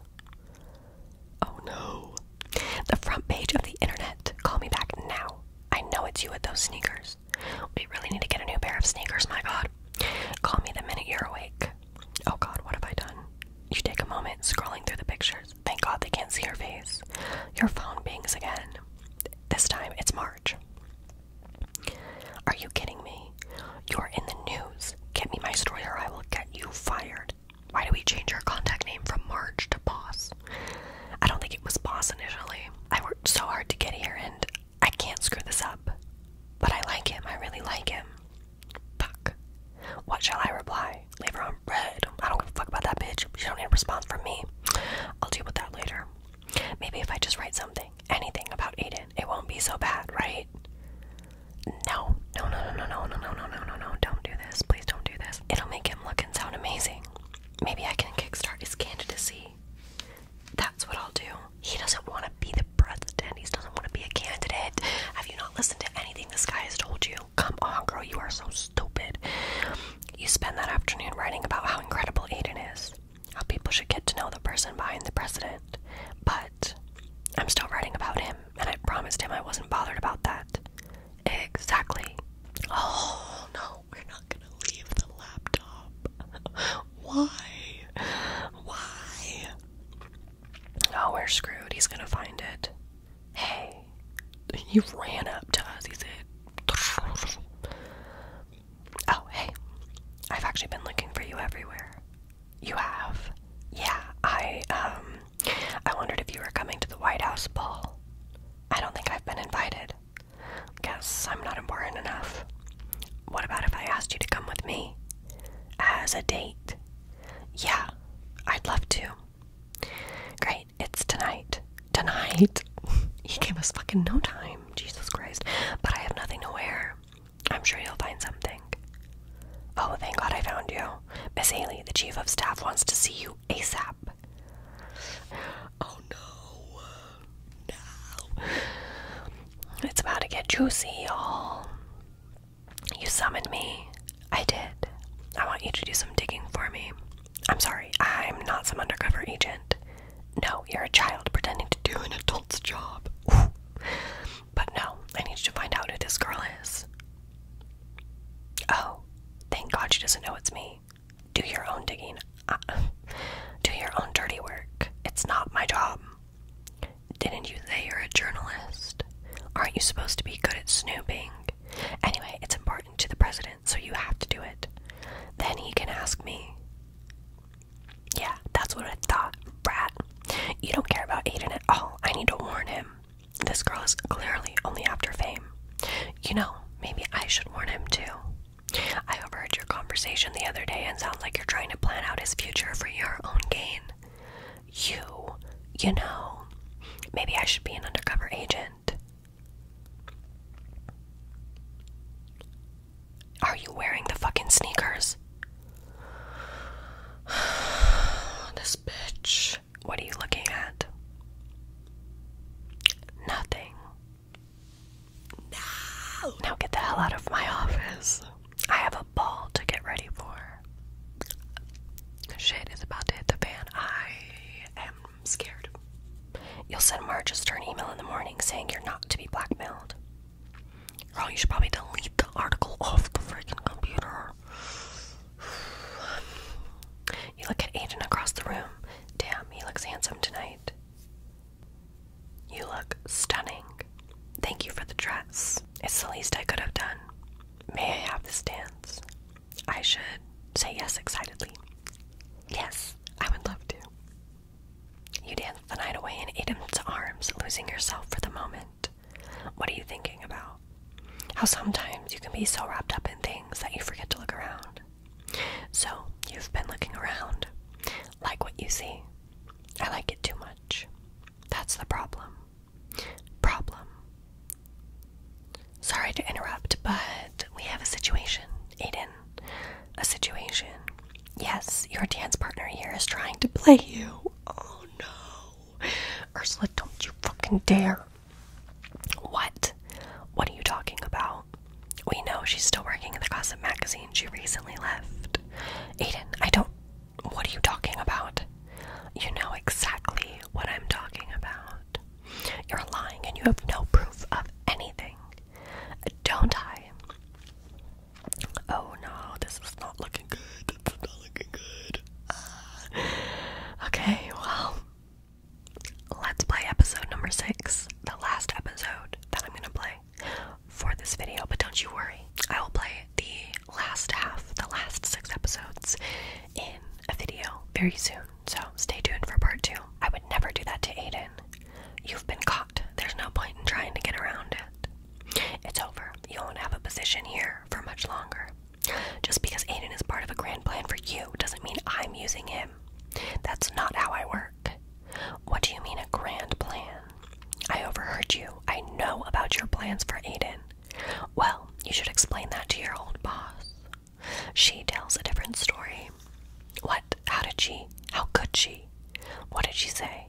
Speaker 1: Oh no. The front page of the internet. Call me back now. I know it's you with those sneakers. We really need to get a new pair of sneakers, my god. Call me the minute you're awake. Oh god, what have I done? You take a moment, scrolling through the pictures. Thank god they can't see your face. Your phone pings again. This time it's March. Are you kidding me? You're in the news. Get me my story or I will get you fired. Why do we change our contact name from Marge to Boss? I don't think it was Boss initially. I worked so hard to get here and I can't screw this up. But I like him. I really like him. Fuck. What shall I reply? Leave her on red. I don't give a fuck about that bitch. She don't need a response from me. I'll deal with that later. Maybe if I just write something, anything about Aiden, it won't be so bad, right? No, no, no, no, no, no, no, no, no, no, no, don't do this. Please don't do this. It'll make him look and sound amazing. Maybe I can kickstart his candidacy. That's what I'll do. He doesn't want to be the president. He doesn't want to be a candidate. Have you not listened to anything this guy has told you? Come on, girl, you are so stupid. You spend that afternoon writing about how incredible Aiden is, how people should get to know the person behind the president. But I'm still writing about him, and I promised him I wasn't bothered about that. Exactly. Oh no, we're not gonna leave the laptop. Why? Why? Oh, we're screwed. He's gonna find it. Hey, he ran up to us. He said, Oh, hey, I've actually been looking for you everywhere. You have? Yeah, I, um, I wondered if you were coming to the White House ball. I don't think I've been invited. Guess I'm not important enough. What about if I asked you to come with me? As a date? Yeah, I'd love to. Great, it's tonight. Tonight? he gave us fucking no time, Jesus Christ. But I have nothing to wear. I'm sure you'll find something. Oh, thank God I found you. Miss Haley, the chief of staff wants to see you ASAP. Oh no. No. It's about to get juicy, y'all. You summoned me. I did. I want you to do some digging for me. I'm sorry, I'm not some undercover agent. No, you're a child pretending to do an adult's job. But no, I need you to find out who this girl is. Oh, thank God she doesn't know it's me. Do your own digging. Uh, do your own dirty work. It's not my job. Didn't you say you're a journalist? Aren't you supposed to be good at snooping? Anyway, it's important to the president, so you have to do it. Then he can ask me. Yeah, that's what I thought, brat. You don't care about Aiden at all. I need to warn him. This girl is clearly only after fame. You know, maybe I should warn him too. I overheard your conversation the other day and sound like you're trying to plan out his future for your own gain. You, you know, maybe I should be an undercover agent. Are you wearing the fucking sneakers? this bitch what are you looking at? Nothing. No. Now get the hell out of my office. I have a ball to get ready for. Shit is about to hit the fan. I am scared. You'll send Marchester an email in the morning saying you're not to be blackmailed. Girl, you should probably delete the article off the freaking computer. You look at Aiden across the room. Damn, he looks handsome tonight. You look stunning. Thank you for the dress. It's the least I could have done. May I have this dance? I should say yes excitedly. Yes, I would love to. You dance the night away in Aiden's arms, losing yourself for the moment. What are you thinking about? How sometimes you can be so wrapped up in things that you forget to look around. So, you've been looking around. Like what you see. I like it too much. That's the problem. Problem. Sorry to interrupt, but we have a situation, Aiden. A situation. Yes, your dance partner here is trying to play you. Oh no. Ursula, don't you fucking dare. What? What are you talking about? We know she's still working in the gossip magazine. She recently left. Aiden, I don't. What are you talking about? You know exactly what I'm talking about. You're lying and you have no proof of anything. Don't I? Oh no, this is not looking good. It's not looking good. Ah. okay, well, let's play episode number six, the last episode that I'm going to play for this video. But don't you worry, I will play the last half, the last six episodes in a video very soon. So stay tuned for part two. I would never do that to Aiden. You've been caught. There's no point in trying to get around it. It's over. You won't have a position here for much longer. Just because Aiden is part of a grand plan for you doesn't mean I'm using him. That's not how I work. What do you mean a grand plan? I overheard you. I know about your plans for Aiden. Well, you should explain that to your old boss. She tells a different story. What? How did she? How could she? What did she say?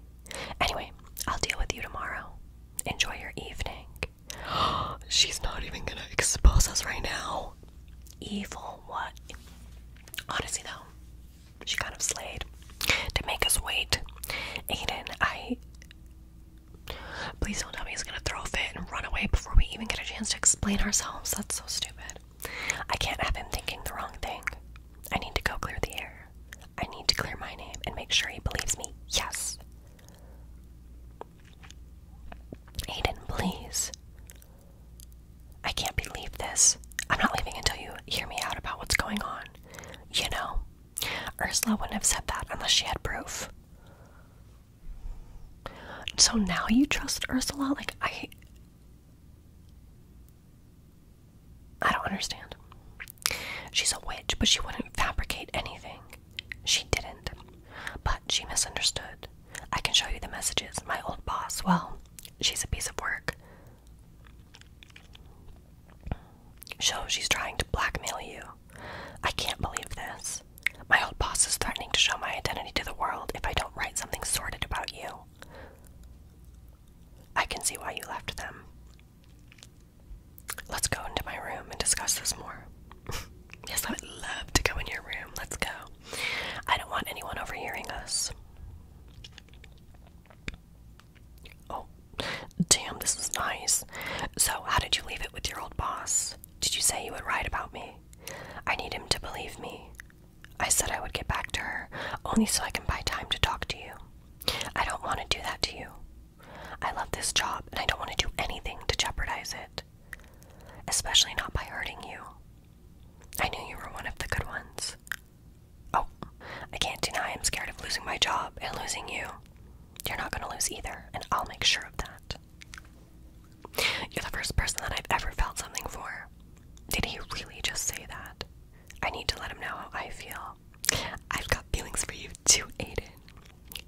Speaker 1: Anyway, I'll deal with you tomorrow. Enjoy your evening. She's not even gonna expose us right now. Evil, what? Honestly, though, she kind of slayed to make us wait. Aiden, I. Please don't tell me he's gonna throw a fit and run away before we even get a chance to explain ourselves. That's so stupid. I can't have him thinking the wrong thing. I need to go clear the air. I need to clear my name and make sure he believes me. Yes. Aiden, please. I can't believe this. I'm not leaving until you hear me out about what's going on. You know, Ursula wouldn't have said that unless she had proof. So now you trust Ursula? Like, I. I don't understand. She's a witch, but she wouldn't fabricate anything. She didn't. But she misunderstood. I can show you the messages. My old boss, well, she's a piece of work. So she's trying to blackmail you. I can't believe this. My old boss is threatening to show my identity to the world if I don't write something sordid about you. I can see why you left them. Let's go into my room and discuss this more yes, I would love to go in your room. Let's go. I don't want anyone overhearing us. Oh, damn, this is nice. So, how did you leave it with your old boss? Did you say you would write about me? I need him to believe me. I said I would get back to her, only so I can buy time to talk to you. I don't want to do that to you. I love this job, and I don't want to do anything to jeopardize it especially not by hurting you. I knew you were one of the good ones. Oh, I can't deny I'm scared of losing my job and losing you. You're not going to lose either, and I'll make sure of that. You're the first person that I've ever felt something for. Did he really just say that? I need to let him know how I feel. I've got feelings for you too, Aiden.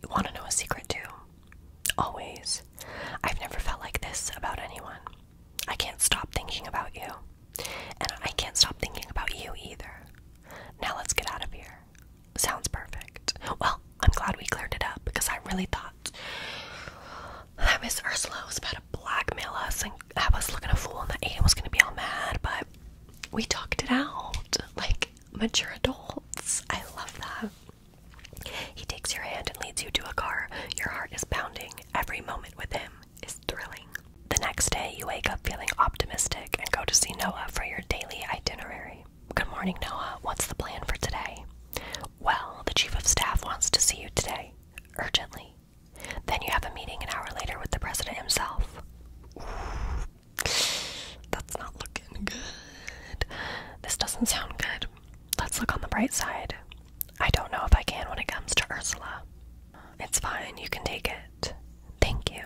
Speaker 1: You want to know a secret too? Always. I've never felt like this about anyone. I can't stop thinking about you. And I can't stop thinking about you either. Now let's get out of here. Sounds perfect. Well, I'm glad we cleared it up because I really thought that Miss Ursula was about to blackmail us and have us looking a fool and that Aiden was going to be all mad, but we talked it out like mature adults. I love that. He takes your hand and leads you to a car. Your heart is pounding. Every moment with him is thrilling. The next day, you wake up feeling optimistic and go to see Noah for your daily itinerary. Good morning, Noah. What's the plan for today? Well, the chief of staff wants to see you today, urgently. Then you have a meeting an hour later with the president himself. that's not looking good. This doesn't sound good. Let's look on the bright side. I don't know if I can when it comes to Ursula. It's fine, you can take it. Thank you.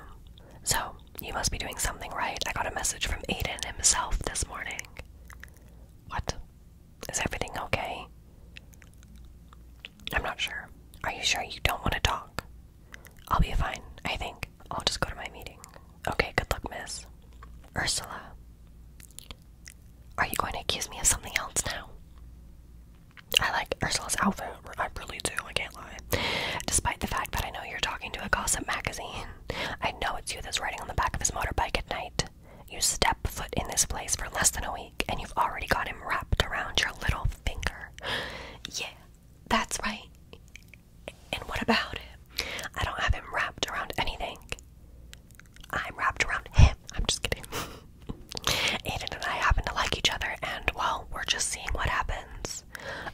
Speaker 1: So, you must be doing something right. I got a message from Aiden himself this morning. What? Is everything okay? I'm not sure. Are you sure you don't want to talk? I'll be fine, I think. I'll just go to my meeting. Okay, good luck, miss. Ursula, are you going to accuse me of something else now? I like Ursula's outfit. I really do, I can't lie. Despite the fact that I know you're talking to a gossip magazine, I know it's you that's riding on the back of his motorbike at night. You step foot in this place for less than a week, and you've already got him wrapped around your little finger. Yeah, that's right. And what about him? I don't have him wrapped around anything. I'm wrapped around him. I'm just kidding. Aiden and I happen to like each other, and well, we're just seeing what happens.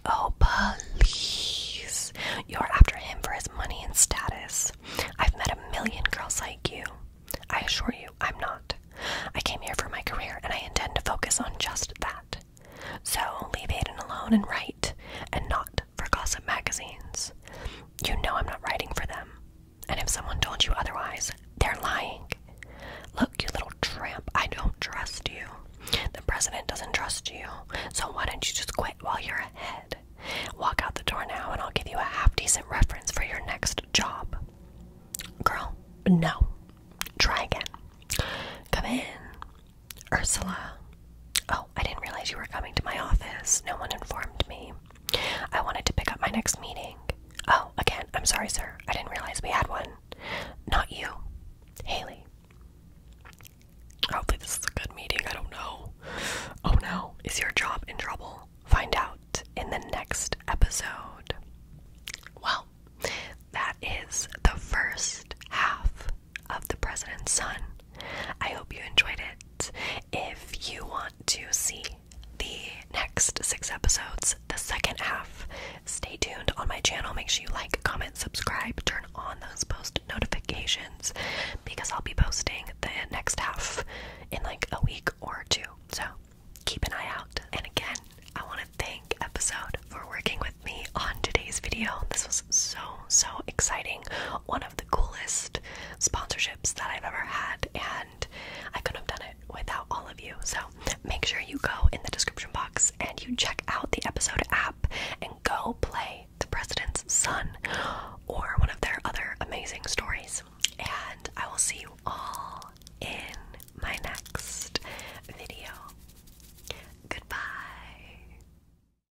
Speaker 1: Oh, police! You're after him for his money and status. I've met a million girls like you. I assure you, I'm not. I came here for my career, and I intend to focus on just that. So leave Aiden alone and write, and not for gossip magazines. You know I'm not writing for them. And if someone told you otherwise, they're lying. Look, you little tramp, I don't trust you. The president doesn't trust you. So why don't you just quit while you're ahead? Walk out the door now and I'll give you a half decent reference for your next job. Girl, no. Try again. Come in. Ursula. Oh, I didn't realize you were coming to my office. No one informed me. I wanted to pick up my next meeting. Oh, again, I'm sorry, sir. I didn't realize we had one. Not you. Haley. Hopefully, this is a good meeting. I don't know. Oh no. Is your job in trouble? Find out in the next episode. Well, that is the first half of the President's Son. I hope you enjoyed it. If you want to see the next six episodes, the second half, stay tuned on my channel. Make sure you like, comment, subscribe, turn on those post notifications because I'll be posting the next half in like a week or two. So keep an eye out. And again, I want to thank Episode for working with me on today's video. This was so, so exciting. One the coolest sponsorships that I've ever had, and I couldn't have done it without all of you. So make sure you go in the description box and you check out the episode app and go play The President's Son or one of their other amazing stories. And I will see you all in my next video. Goodbye.